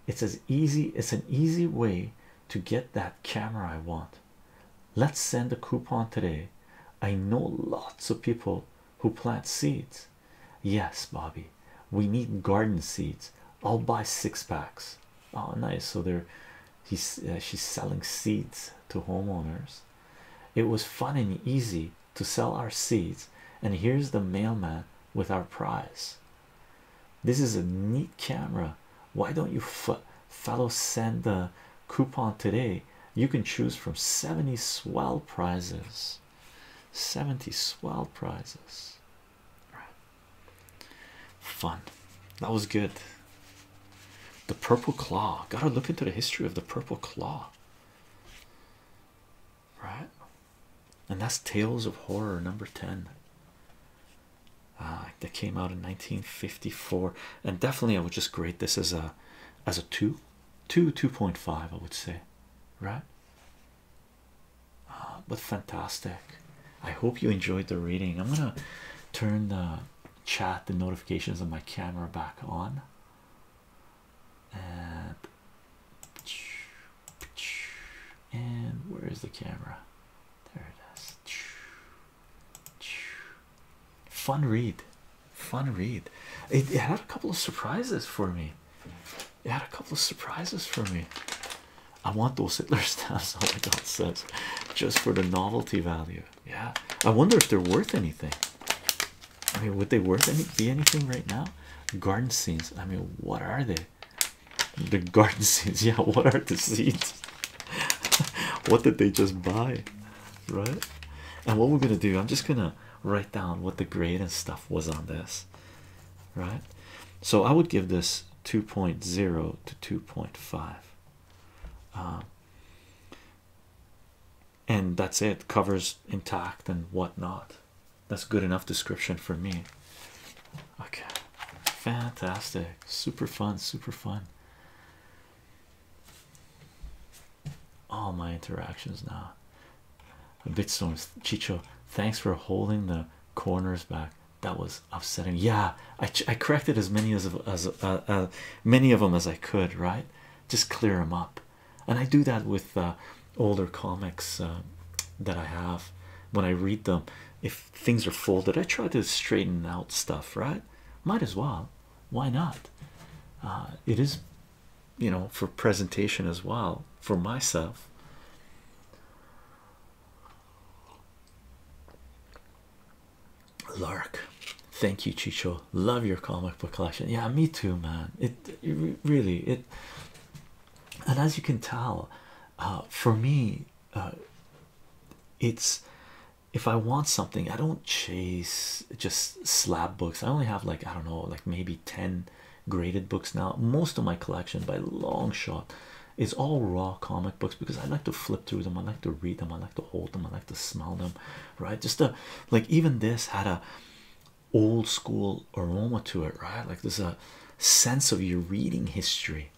It's as easy, it's an easy way to get that camera I want. Let's send a coupon today. I know lots of people who plant seeds. Yes, Bobby, we need garden seeds. I'll buy six packs. Oh, nice. So they're he's uh, she's selling seeds to homeowners. It was fun and easy to sell our seeds, and here's the mailman with our prize. This is a neat camera. Why don't you fellows send the coupon today? You can choose from 70 swell prizes. 70 swell prizes. Fun. That was good. The Purple Claw. Gotta look into the history of the Purple Claw. Right? And that's Tales of Horror number 10. Uh, that came out in 1954. And definitely I would just grade this as a as a 2. 2, 2.5 I would say. Right? Uh, but fantastic. I hope you enjoyed the reading. I'm gonna turn the chat the notifications on my camera back on and and where is the camera there it is fun read fun read it, it had a couple of surprises for me it had a couple of surprises for me I want those Hitler stamps all oh my God says just for the novelty value yeah, I wonder if they're worth anything. I mean, would they worth any be anything right now? Garden scenes. I mean, what are they? The garden scenes. Yeah, what are the seeds? what did they just buy? Right? And what we're gonna do, I'm just gonna write down what the grade and stuff was on this. Right? So I would give this 2.0 to 2.5 and that's it covers intact and whatnot that's good enough description for me okay fantastic super fun super fun all my interactions now bitstorms chicho thanks for holding the corners back that was upsetting yeah i, I corrected as many as as uh, uh many of them as I could, right? Just clear them up, and I do that with uh, older comics uh, that I have when I read them. If things are folded, I try to straighten out stuff, right? Might as well, why not? Uh, it is, you know, for presentation as well for myself. Lark, thank you, Chicho. Love your comic book collection. Yeah, me too, man. It, really it, and as you can tell, uh, for me, uh, it's if I want something, I don't chase just slab books. I only have like I don't know, like maybe ten graded books now. Most of my collection, by long shot, is all raw comic books because I like to flip through them. I like to read them. I like to hold them. I like to smell them right just a like even this had a old school aroma to it right like there's a sense of your reading history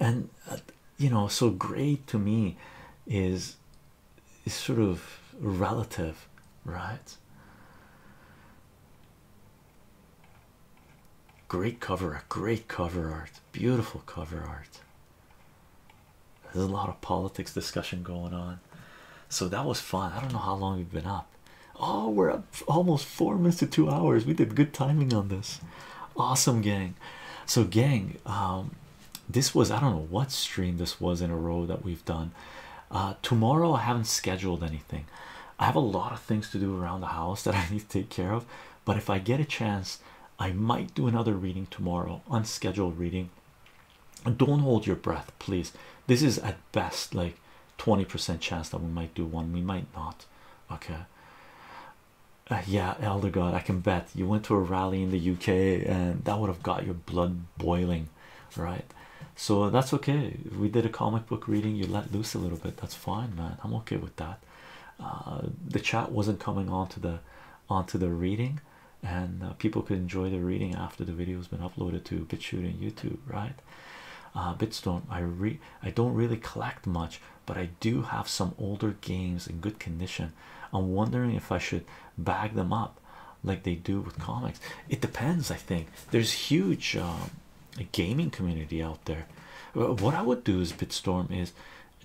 and uh, you know so great to me is is sort of relative right great cover art great cover art beautiful cover art there's a lot of politics discussion going on, so that was fun. I don't know how long we've been up. Oh, we're up almost four minutes to two hours. We did good timing on this. Awesome, gang. So, gang, um, this was I don't know what stream this was in a row that we've done. Uh, tomorrow, I haven't scheduled anything. I have a lot of things to do around the house that I need to take care of, but if I get a chance, I might do another reading tomorrow, unscheduled reading. Don't hold your breath, please. This is at best like 20% chance that we might do one, we might not. Okay, uh, yeah, Elder God, I can bet you went to a rally in the UK and that would have got your blood boiling, right? So that's okay. We did a comic book reading, you let loose a little bit. That's fine, man. I'm okay with that. Uh, the chat wasn't coming onto the onto the reading and uh, people could enjoy the reading after the video has been uploaded to BitChute and YouTube, right? Uh, Bitstone, I re I don't really collect much, but I do have some older games in good condition. I'm wondering if I should bag them up like they do with comics. It depends, I think. There's huge a um, gaming community out there. What I would do is Bitstorm is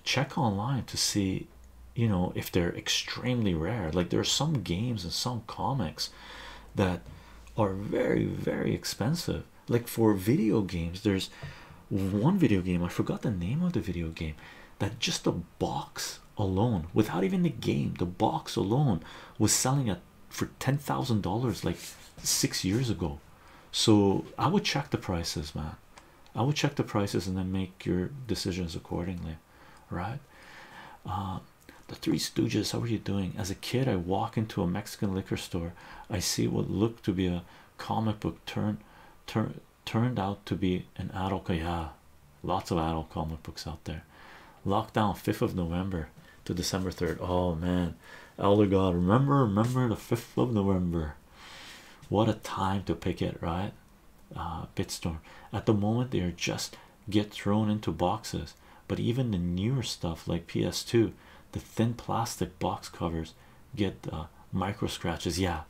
check online to see you know if they're extremely rare like there are some games and some comics that are very very expensive like for video games there's one video game i forgot the name of the video game that just the box alone without even the game the box alone was selling at for ten thousand dollars like six years ago so i would check the prices man I will check the prices and then make your decisions accordingly, right? Uh, the Three Stooges, how are you doing? As a kid, I walk into a Mexican liquor store. I see what looked to be a comic book turn, turn turned out to be an adult. Yeah, lots of adult comic books out there. Lockdown, 5th of November to December 3rd. Oh man, Elder God, remember, remember the 5th of November. What a time to pick it, right? uh, Bitstorm. At the moment, they are just get thrown into boxes, but even the newer stuff like PS2, the thin plastic box covers get uh, micro scratches. Yeah,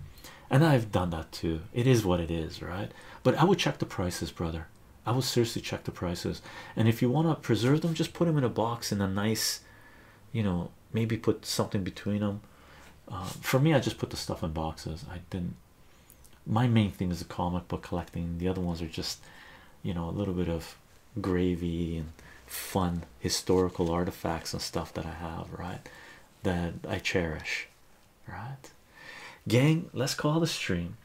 and I've done that too. It is what it is, right? But I would check the prices, brother. I would seriously check the prices, and if you want to preserve them, just put them in a box in a nice, you know, maybe put something between them uh, for me i just put the stuff in boxes i didn't my main thing is the comic book collecting the other ones are just you know a little bit of gravy and fun historical artifacts and stuff that i have right that i cherish right gang let's call the stream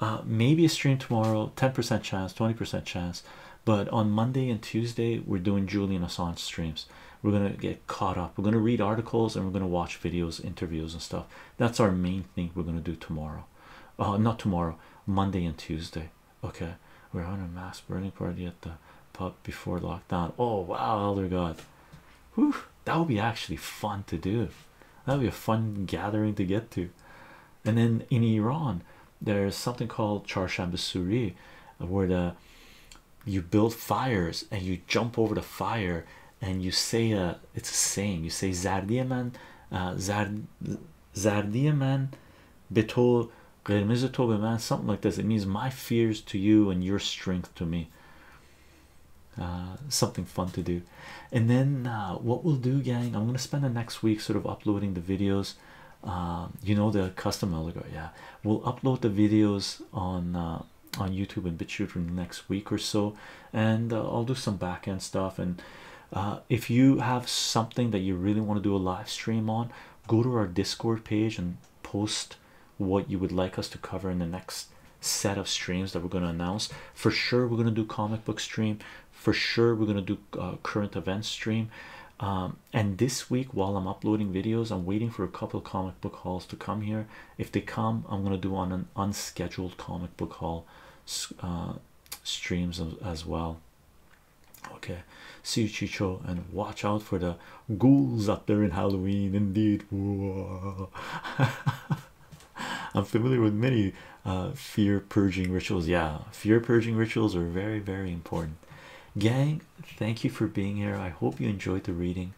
uh, maybe a stream tomorrow 10% chance 20% chance but on monday and tuesday we're doing julian assange streams we're gonna get caught up we're gonna read articles and we're gonna watch videos interviews and stuff that's our main thing we're gonna do tomorrow uh, not tomorrow Monday and Tuesday okay we're having a mass burning party at the pub before lockdown oh wow elder god Whew, that would be actually fun to do that would be a fun gathering to get to and then in Iran there's something called Charshanbesuri where the you build fires and you jump over the fire and you say uh it's a saying you say zardiaman uh zard zardiaman beto man something like this it means my fears to you and your strength to me uh, something fun to do and then uh, what we'll do gang i'm gonna spend the next week sort of uploading the videos uh, you know the custom allegory yeah we'll upload the videos on uh, on YouTube and BitChute next week or so, and uh, I'll do some back end stuff. And uh, if you have something that you really want to do a live stream on, go to our Discord page and post what you would like us to cover in the next set of streams that we're going to announce. For sure, we're going to do comic book stream. For sure, we're going to do current event stream. Um, and this week, while I'm uploading videos, I'm waiting for a couple comic book hauls to come here. If they come, I'm gonna do on an unscheduled comic book haul uh, streams as well. Okay, see you, Chicho, and watch out for the ghouls out there in Halloween. Indeed, I'm familiar with many uh, fear purging rituals. Yeah, fear purging rituals are very, very important. Gang, thank you for being here. I hope you enjoyed the reading.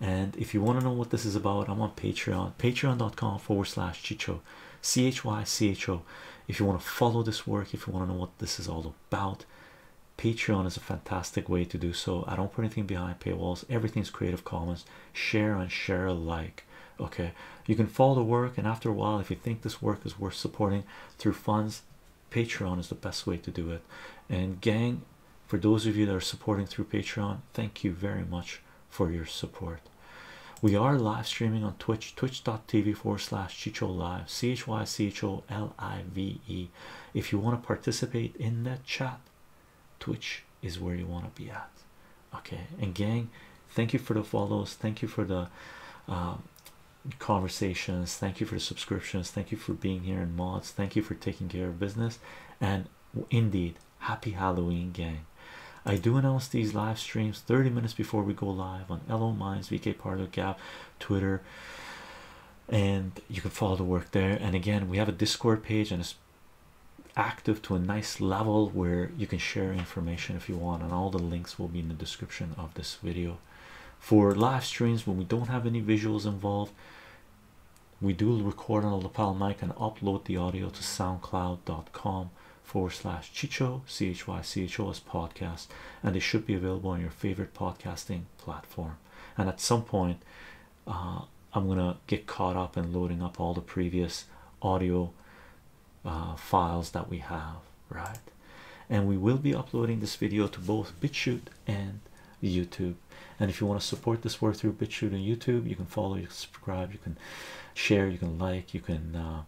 And if you want to know what this is about, I'm on Patreon, patreon.com forward slash Chicho, C H Y C H O. If you want to follow this work, if you want to know what this is all about, Patreon is a fantastic way to do so. I don't put anything behind paywalls, Everything is Creative Commons. Share and share alike. Okay, you can follow the work, and after a while, if you think this work is worth supporting through funds, Patreon is the best way to do it. And gang, for those of you that are supporting through patreon thank you very much for your support we are live streaming on twitch twitch.tv forward slash chicho live c-h-y-c-h-o-l-i-v-e if you want to participate in that chat twitch is where you want to be at okay and gang thank you for the follows thank you for the um, conversations thank you for the subscriptions thank you for being here in mods thank you for taking care of business and indeed happy Halloween gang. I do announce these live streams 30 minutes before we go live on EloMine's Minds, VK Parlor Gap, Twitter, and you can follow the work there. And again, we have a Discord page and it's active to a nice level where you can share information if you want, and all the links will be in the description of this video. For live streams, when we don't have any visuals involved, we do record on a lapel mic and upload the audio to soundcloud.com forward slash chicho chycho as podcast and it should be available on your favorite podcasting platform and at some point uh, i'm gonna get caught up in loading up all the previous audio uh, files that we have right and we will be uploading this video to both bitchute and youtube and if you want to support this work through BitChute and YouTube, you can follow, you can subscribe, you can share, you can like, you can uh,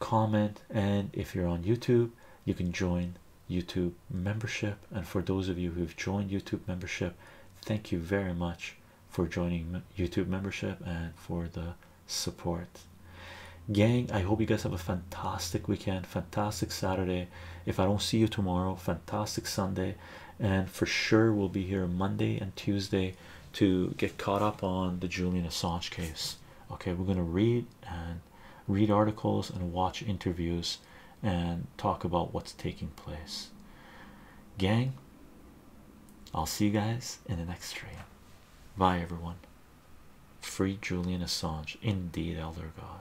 comment, and if you're on YouTube, you can join YouTube membership. And for those of you who've joined YouTube membership, thank you very much for joining YouTube membership and for the support. Gang, I hope you guys have a fantastic weekend, fantastic Saturday. If I don't see you tomorrow, fantastic Sunday and for sure we'll be here Monday and Tuesday to get caught up on the Julian Assange case. Okay, we're gonna read and read articles and watch interviews and talk about what's taking place. Gang, I'll see you guys in the next stream. Bye everyone. Free Julian Assange, indeed, Elder God.